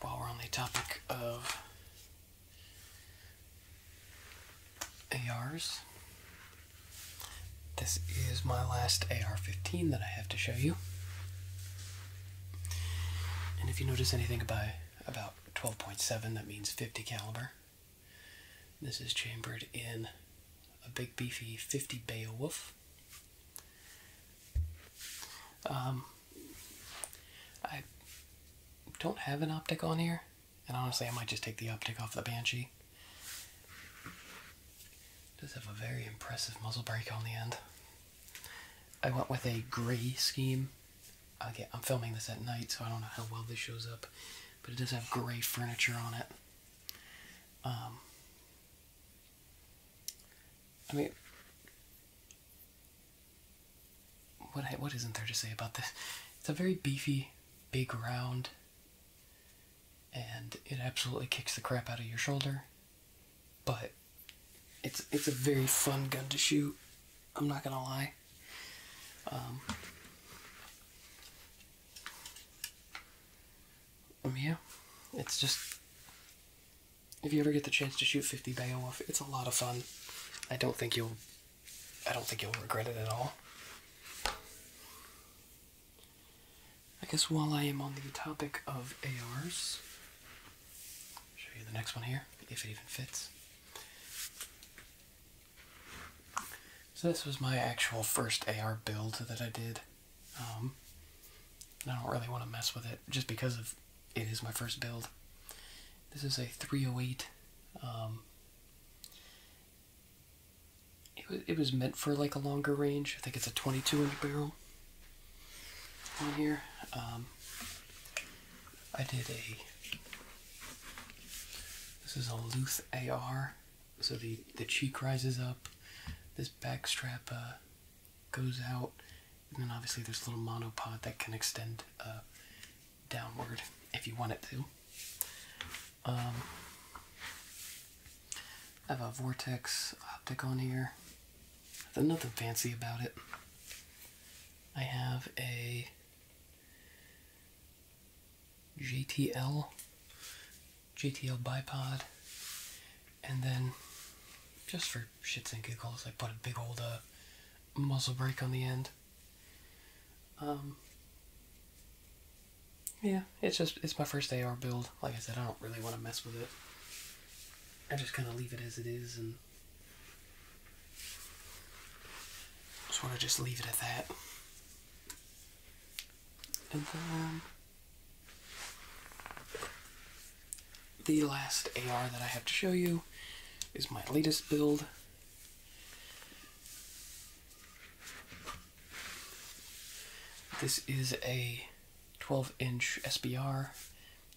While we're on the topic of ARs, this is my last AR-15 that I have to show you. And if you notice anything about about 12.7, that means 50 caliber. This is chambered in a big beefy 50 Beowulf. Um, I don't have an optic on here, and honestly, I might just take the optic off the Banshee. does have a very impressive muzzle brake on the end. I went with a gray scheme Okay, I'm filming this at night, so I don't know how well this shows up, but it does have gray furniture on it. Um, I mean, what what isn't there to say about this? It's a very beefy, big round, and it absolutely kicks the crap out of your shoulder, but it's it's a very fun gun to shoot. I'm not gonna lie. Um, um, yeah, it's just if you ever get the chance to shoot 50 Beowulf, it's a lot of fun. I don't think you'll I don't think you'll regret it at all. I guess while I am on the topic of ARs, Show you the next one here, if it even fits. So this was my actual first AR build that I did. Um, I don't really want to mess with it just because of it is my first build. This is a 308. Um, it was it was meant for like a longer range. I think it's a 22 inch barrel on here. Um, I did a. This is a Luth AR, so the the cheek rises up, this back strap uh, goes out, and then obviously there's a little monopod that can extend uh, downward if you want it to. Um, I have a Vortex optic on here. nothing fancy about it. I have a JTL JTL bipod, and then just for shits and giggles, I put a big old uh, muzzle break on the end. Um, yeah, it's just it's my first AR build. Like I said, I don't really want to mess with it. I just kind of leave it as it is and um, just want to just leave it at that. And then the last AR that I have to show you is my latest build. This is a 12 inch SBR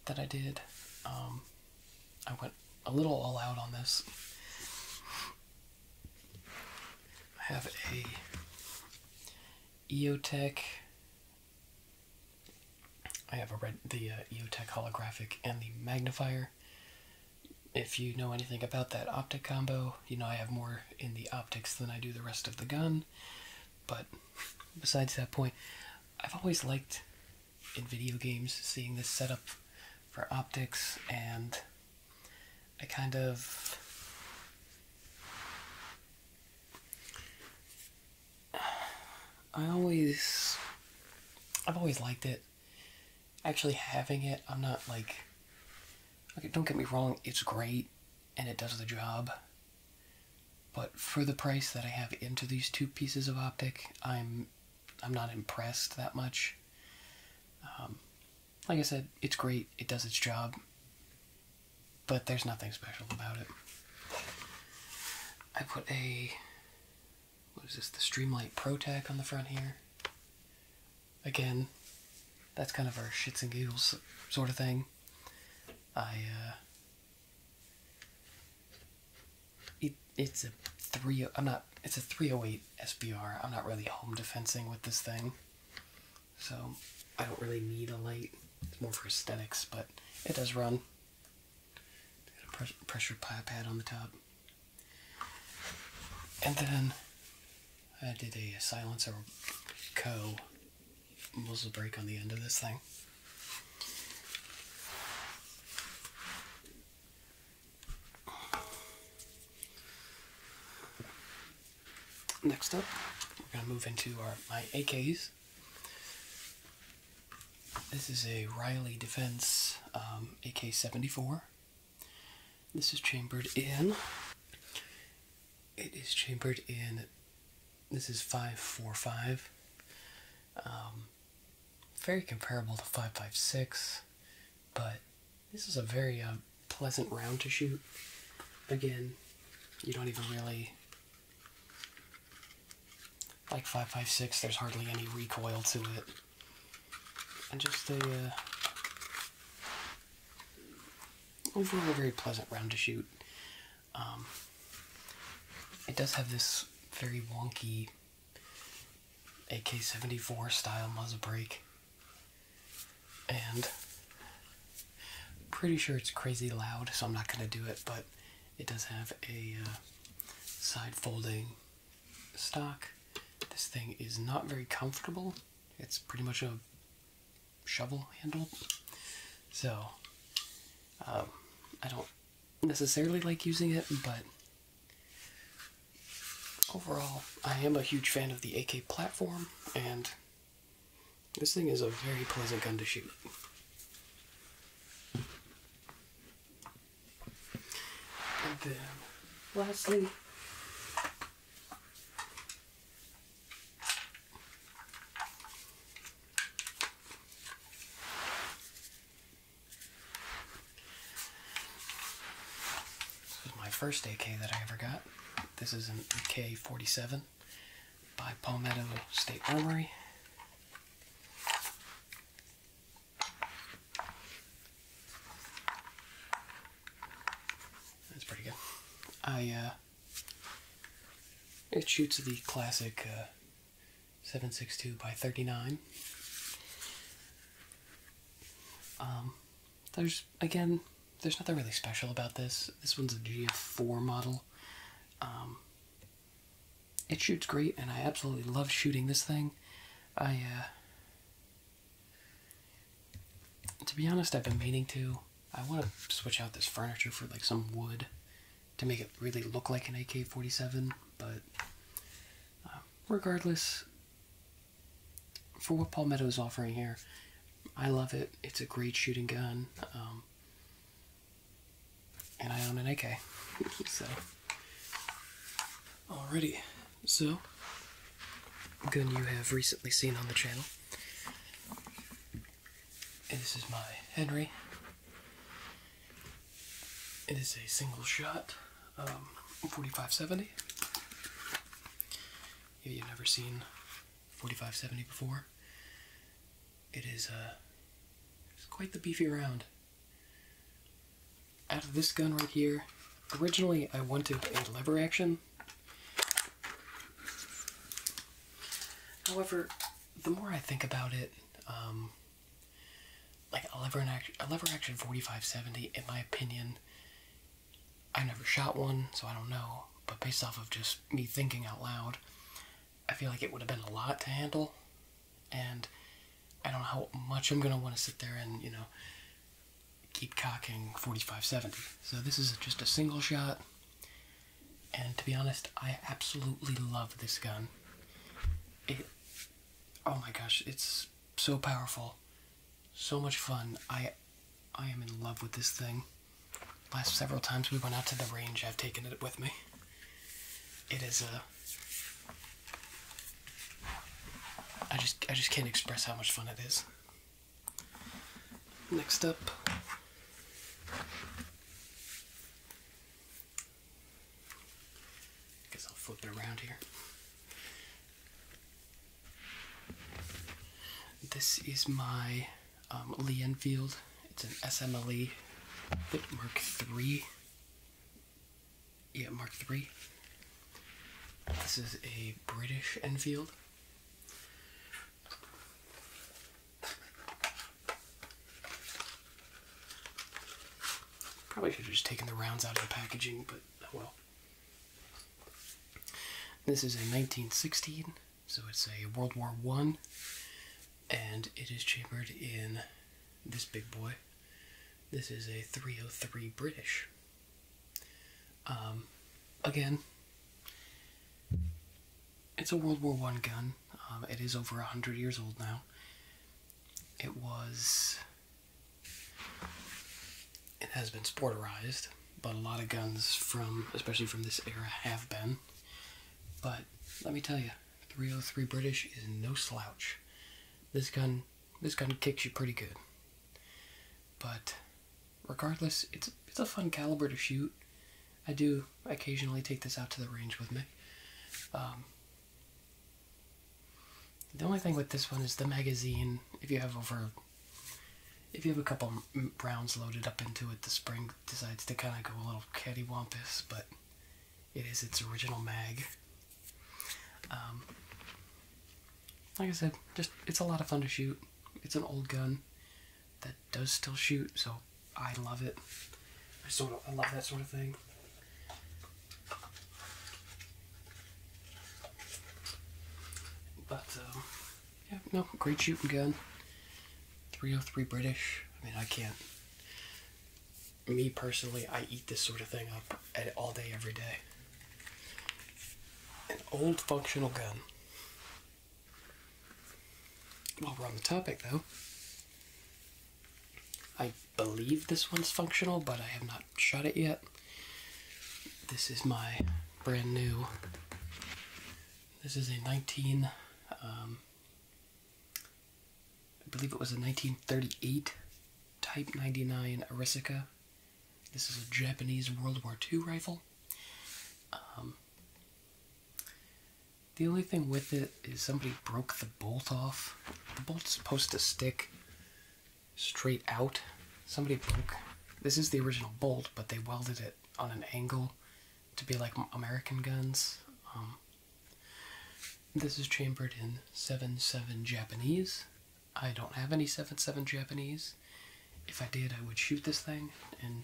that I did. Um, I went a little all out on this. I have a EOTech. I have a red the uh, EOTech holographic and the magnifier. If you know anything about that optic combo, you know I have more in the optics than I do the rest of the gun. But besides that point, I've always liked in video games, seeing this setup for optics, and I kind of I always I've always liked it. Actually having it, I'm not like don't get me wrong, it's great and it does the job. But for the price that I have into these two pieces of optic, I'm I'm not impressed that much. Um, like I said, it's great. It does its job. But there's nothing special about it. I put a what is this? The Streamlight ProTac on the front here. Again, that's kind of our shits and giggles sort of thing. I uh, it, it's a three. I'm not. It's a 308 SBR. I'm not really home defending with this thing, so I don't really need a light. It's more for aesthetics, but it does run. Pressure a pressure pad on the top, and then I did a silencer co muzzle break on the end of this thing. Next up, we're gonna move into our my AKs. This is a Riley Defense um, AK-74. This is chambered in. It is chambered in. This is 545 very comparable to 556, but this is a very uh, pleasant round to shoot. Again, you don't even really like 556, there's hardly any recoil to it. And just a uh, overall very pleasant round to shoot. Um, it does have this very wonky AK-74 style muzzle brake, and pretty sure it's crazy loud, so I'm not gonna do it. But it does have a uh, side folding stock. This thing is not very comfortable. It's pretty much a shovel handle, so um, I don't necessarily like using it, but Overall, I am a huge fan of the AK platform, and this thing is a very pleasant gun to shoot. then, lastly, this is my first AK that I ever got. This is an AK 47 by Palmetto State Armory. That's pretty good. I, uh, it shoots the classic uh, 762 by 39. Um, there's, again, there's nothing really special about this. This one's a GF4 model. Um, it shoots great, and I absolutely love shooting this thing. I, uh, to be honest, I've been meaning to. I want to switch out this furniture for like some wood to make it really look like an AK-47, but uh, regardless, for what Palmetto is offering here, I love it. It's a great shooting gun, um, and I own an AK. so, alrighty. So, gun you have recently seen on the channel. this is my Henry. It is a single shot, um, 4570. If you've never seen 4570 before, it is uh, it's quite the beefy round. Out of this gun right here, originally I wanted a lever action. However, the more I think about it, um, like a lever and action, a lever action 4570, in my opinion. I never shot one, so I don't know. But based off of just me thinking out loud, I feel like it would have been a lot to handle, and I don't know how much I'm gonna want to sit there and you know keep cocking 4570. So this is just a single shot, and to be honest, I absolutely love this gun. It oh my gosh, it's so powerful. So much fun. I I am in love with this thing. Last several times we went out to the range, I've taken it with me. It is a uh, I just I just can't express how much fun it is. Next up Guess I'll flip it around here. This is my um, Lee Enfield. It's an SMLE Mark III. Yeah, Mark III. This is a British Enfield. Probably should have just taken the rounds out of the packaging, but oh well. This is a 1916, so it's a World War One, and it is chambered in this big boy. This is a 303 British. Um, again, it's a World War One gun. Um, it is over a hundred years old now. It was it has been sporterized, but a lot of guns from, especially from this era, have been. But let me tell you, 303 British is no slouch. This gun, this gun kicks you pretty good. But regardless, it's it's a fun caliber to shoot. I do occasionally take this out to the range with me. Um, the only thing with this one is the magazine. If you have over, if you have a couple rounds loaded up into it, the spring decides to kind of go a little cattywampus, but it is its original mag. Um, like I said, just it's a lot of fun to shoot. It's an old gun that does still shoot, so I love it. I sort of I love that sort of thing. But, uh, yeah, no, great shooting gun. 303 British. I mean, I can't. Me personally, I eat this sort of thing up all day, every day. An old functional gun. While we're on the topic, though, I believe this one's functional, but I have not shot it yet. This is my brand new. This is a 19. Um, I believe it was a 1938 Type 99 Arisaka. This is a Japanese World War II rifle. Um, the only thing with it is somebody broke the bolt off. The bolt's supposed to stick straight out. Somebody broke. This is the original bolt, but they welded it on an angle to be like American guns. Um, this is chambered in 7-7 Japanese. I don't have any 7-7 Japanese. If I did, I would shoot this thing and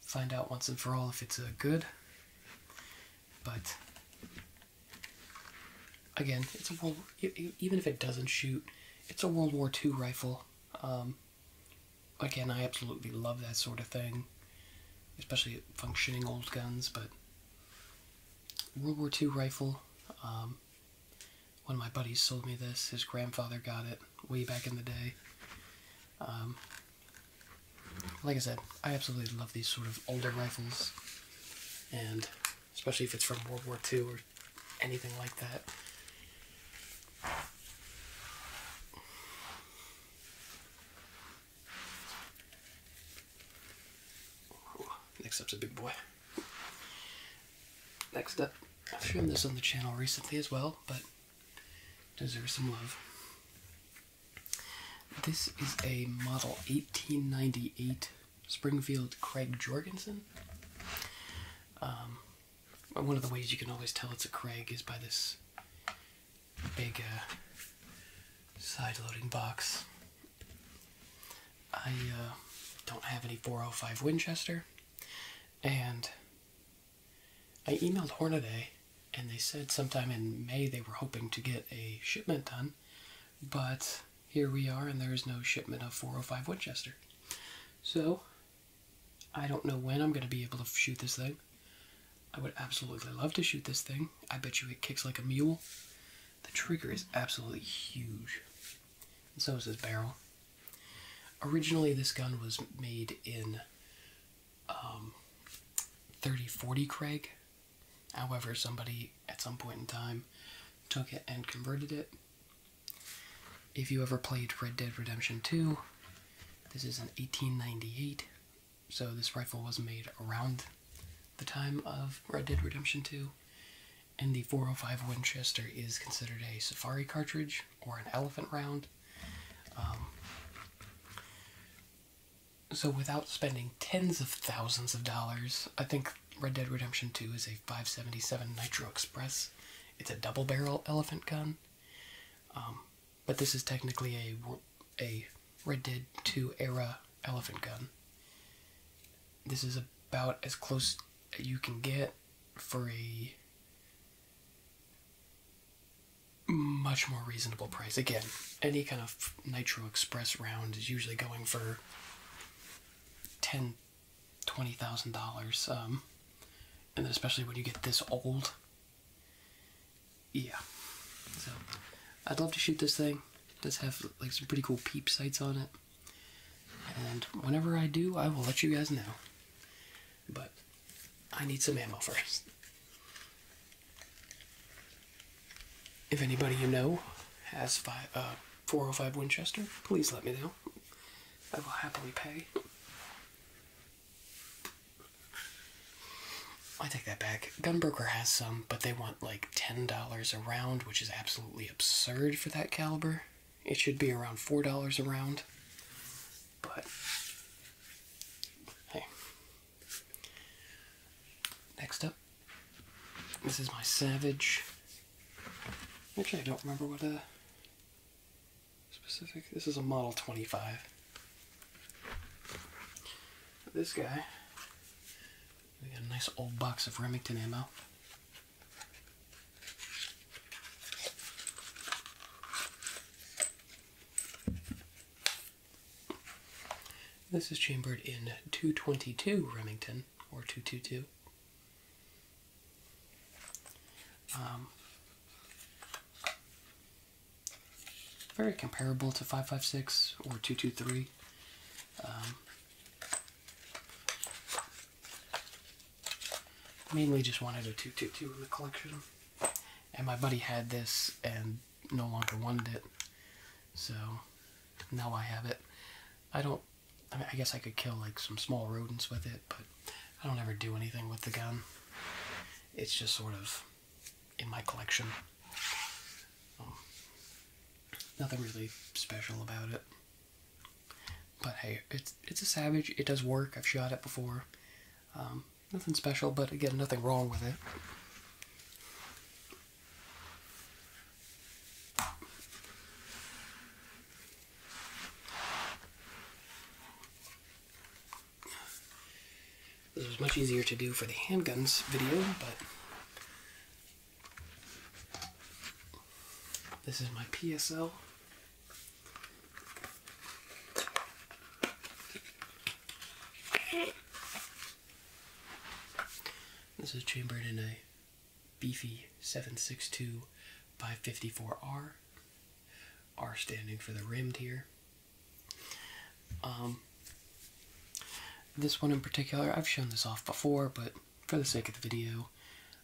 find out once and for all if it's a good. But again, it's a world. Even if it doesn't shoot, it's a World War II rifle. Um, again, I absolutely love that sort of thing, especially functioning old guns. But World War II rifle. Um, one of my buddies sold me this. His grandfather got it way back in the day. Um, like I said, I absolutely love these sort of older rifles and especially if it's from World War II or anything like that. next up's a big boy. Next up, I've shown this on the channel recently as well, but deserves some love. This is a model 1898 Springfield Craig Jorgensen. Um, one of the ways you can always tell it's a Craig is by this big uh, side loading box. I uh, don't have any 405 Winchester, and I emailed Hornaday, and they said sometime in May they were hoping to get a shipment done, but here we are, and there is no shipment of 405 Winchester. So, I don't know when I'm going to be able to shoot this thing. I would absolutely love to shoot this thing. I bet you it kicks like a mule. The trigger is absolutely huge, and so is this barrel. Originally, this gun was made in um, 3040 Craig, However, somebody at some point in time took it and converted it. If you ever played Red Dead Redemption 2, this is an 1898, so this rifle was made around the time of Red Dead Redemption 2. And the 405 Winchester is considered a safari cartridge or an elephant round. Um, so without spending tens of thousands of dollars, I think Red Dead Redemption 2 is a 577 Nitro Express. It's a double barrel elephant gun. Um, but this is technically a, a Red Dead 2 era elephant gun. This is about as close as you can get for a much more reasonable price. Again, any kind of Nitro Express round is usually going for ten, twenty thousand dollars. Um, and especially when you get this old. Yeah. So I'd love to shoot this thing. It does have like some pretty cool peep sights on it. And whenever I do, I will let you guys know. But I need some ammo first. If anybody you know has five, uh, 405 Winchester, please let me know. I will happily pay. I take that back. Gunbroker has some, but they want like $10 a round, which is absolutely absurd for that caliber. It should be around $4 a round. But hey. Next up, this is my Savage. Actually, I don't remember what a specific. This is a Model 25. This guy. We got a nice old box of Remington ammo. This is chambered in 222 Remington or 222. Um, very comparable to 556 or 223. Um, mainly just wanted a 222 in the collection. And my buddy had this and no longer wanted it. So now I have it. I don't. I guess I could kill like some small rodents with it, but I don't ever do anything with the gun. It's just sort of in my collection. Um, nothing really special about it. But hey, it's it's a Savage. It does work. I've shot it before. Um, nothing special, but again, nothing wrong with it. This was much easier to do for the handguns video, but this is my PSL. This is chambered and I beefy 762 by 54R. R standing for the rimmed here. Um, this one in particular, I've shown this off before, but for the sake of the video,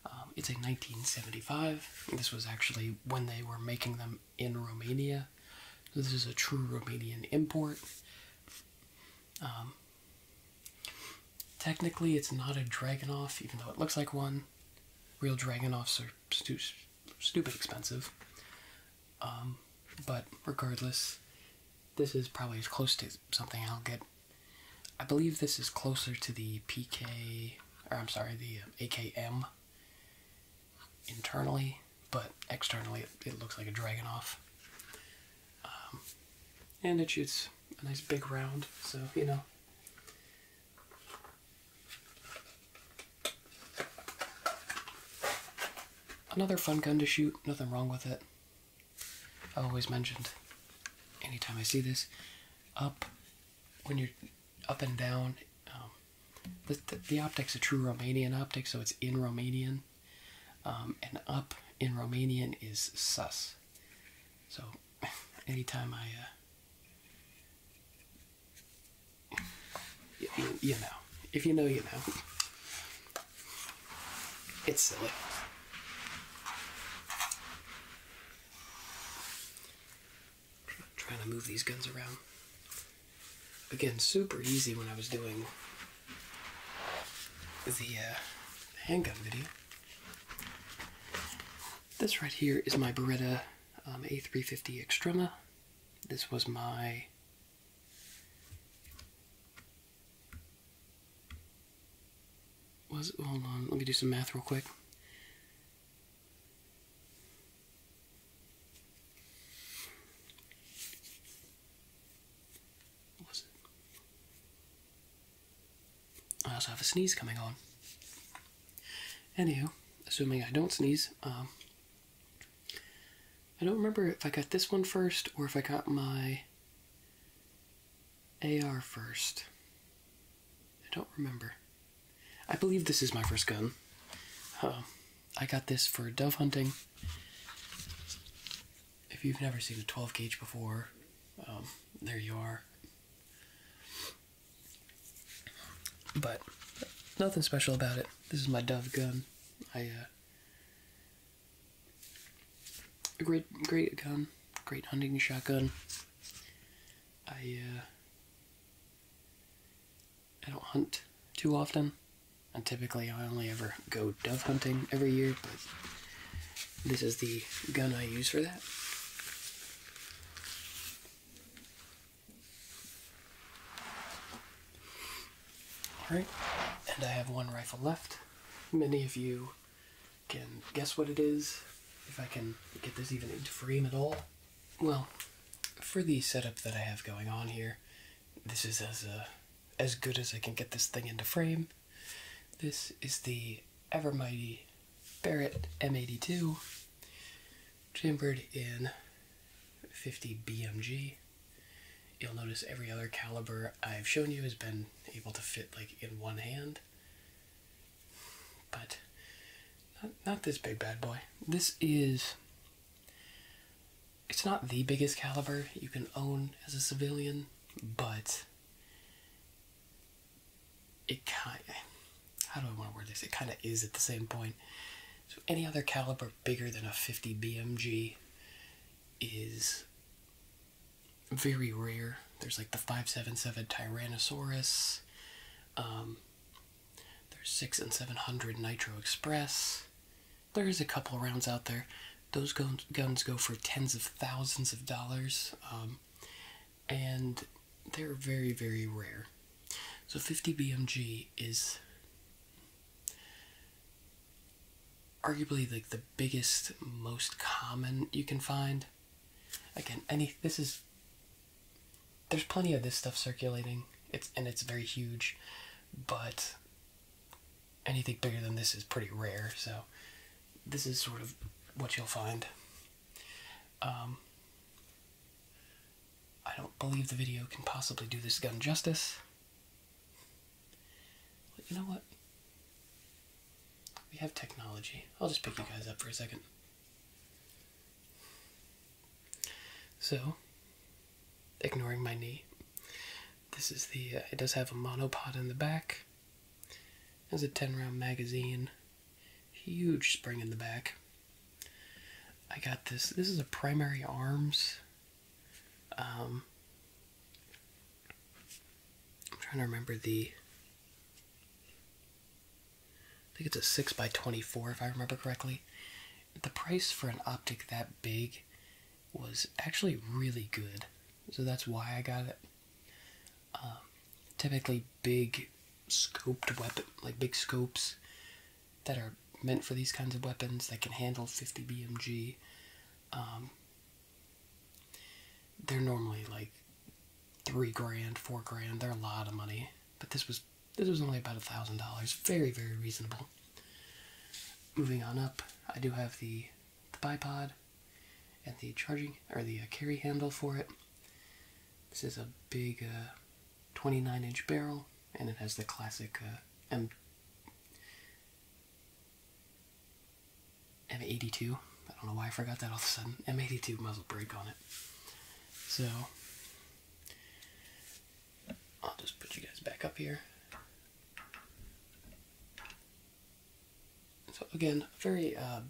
um, it's a 1975. This was actually when they were making them in Romania. this is a true Romanian import. Um, Technically, it's not a Dragonoff, even though it looks like one. Real Dragonoffs are stu stupid expensive. Um, but regardless, this is probably as close to something I'll get. I believe this is closer to the PK, or I'm sorry, the AKM internally, but externally it, it looks like a Dragonoff. Um, and it shoots a nice big round, so you know. Another fun gun to shoot, nothing wrong with it. I have always mentioned anytime I see this up when you're up and down. Um, the, the, the optic's a true Romanian optic, so it's in Romanian. Um, and up in Romanian is sus. So, anytime I, uh, you know, if you know, you know. It's silly. Trying to move these guns around. Again, super easy when I was doing the, uh, handgun video. This right here is my Beretta um, A350 Extrema. This was my was hold on, let me do some math real quick was it? I also have a sneeze coming on. Anywho, assuming I don't sneeze, um, I don't remember if I got this one first or if I got my AR first. I don't remember. I believe this is my first gun. Um, I got this for dove hunting if you've never seen a 12 gauge before, um, there you are. But nothing special about it. This is my Dove gun. I uh, a great, great gun, great hunting shotgun. I uh, I don't hunt too often, and typically I only ever go dove hunting every year, but this is the gun I use for that. Alright, and I have one rifle left. Many of you can guess what it is, if I can get this even into frame at all. Well, for the setup that I have going on here, this is as, uh, as good as I can get this thing into frame. This is the ever mighty Barrett M82, chambered in 50 BMG. You'll notice every other caliber I've shown you has been able to fit like in one hand, but not, not this big bad boy. This is. It's not the biggest caliber you can own as a civilian, but it kind how do I want to word this? It kind of is at the same point. So any other caliber bigger than a 50 BMG is very rare. There's like the 577 Tyrannosaurus. Um, there's 6 and 700 Nitro Express. There is a couple rounds out there. Those guns, guns go for tens of thousands of dollars, um, and they're very, very rare. So 50 BMG is arguably like the biggest, most common you can find. Again, any this is there's plenty of this stuff circulating. It's and it's very huge, but anything bigger than this is pretty rare, so this is sort of what you'll find. Um, I don't believe the video can possibly do this gun justice. But you know what? We have technology. I'll just pick you guys up for a second. So, ignoring my knee, this is the, uh, it does have a monopod in the back. It a 10 round magazine. Huge spring in the back. I got this. This is a primary arms. Um, I'm trying to remember the. I think it's a 6 by 24 if I remember correctly. The price for an optic that big was actually really good. So that's why I got it. Um, typically, big scoped weapon, like big scopes that are meant for these kinds of weapons that can handle 50 BMG. Um, they're normally like three grand, four grand. They're a lot of money, but this was this was only about a thousand dollars. Very very reasonable. Moving on up, I do have the the bipod and the charging or the uh, carry handle for it. This is a big 29-inch uh, barrel, and it has the classic uh, M M82. I don't know why I forgot that all of a sudden. M82 muzzle brake on it. So I'll just put you guys back up here. So again, very uh,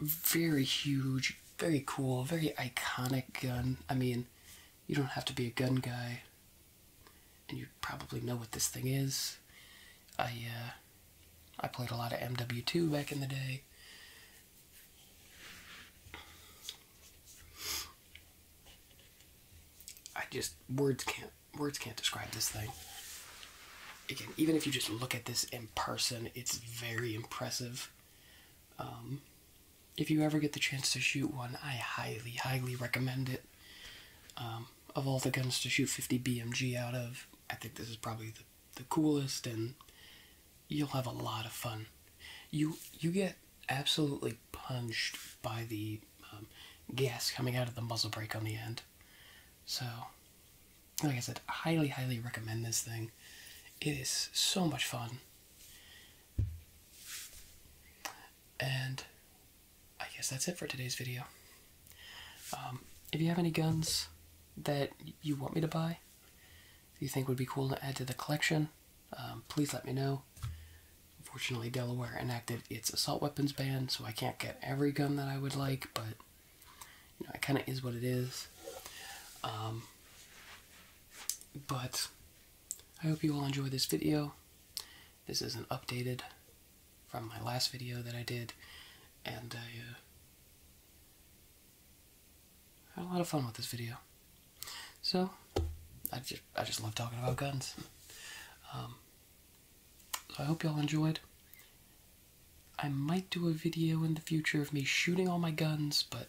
very huge, very cool, very iconic gun. I mean, you don't have to be a gun guy, and you probably know what this thing is. I uh, I played a lot of MW2 back in the day. I just words can't words can't describe this thing. Again, even if you just look at this in person, it's very impressive. Um, if you ever get the chance to shoot one, I highly, highly recommend it. Um, of all the guns to shoot 50 BMG out of, I think this is probably the, the coolest, and you'll have a lot of fun. You you get absolutely punched by the um, gas coming out of the muzzle break on the end. So, like I said, highly, highly recommend this thing. It is so much fun. And I guess that's it for today's video. Um, if you have any guns that you want me to buy, you think would be cool to add to the collection, um, please let me know. Unfortunately, Delaware enacted its assault weapons ban, so I can't get every gun that I would like, but you know, it kind of is what it is. Um, but I hope you all enjoy this video. This is an updated from my last video that I did, and I uh, had a lot of fun with this video. So, I just I just love talking about guns. Um, so I hope y'all enjoyed. I might do a video in the future of me shooting all my guns, but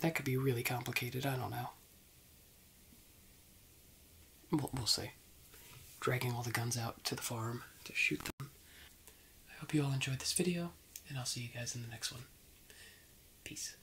that could be really complicated. I don't know. We'll, we'll see. Dragging all the guns out to the farm to shoot them. I hope you all enjoyed this video, and I'll see you guys in the next one. Peace.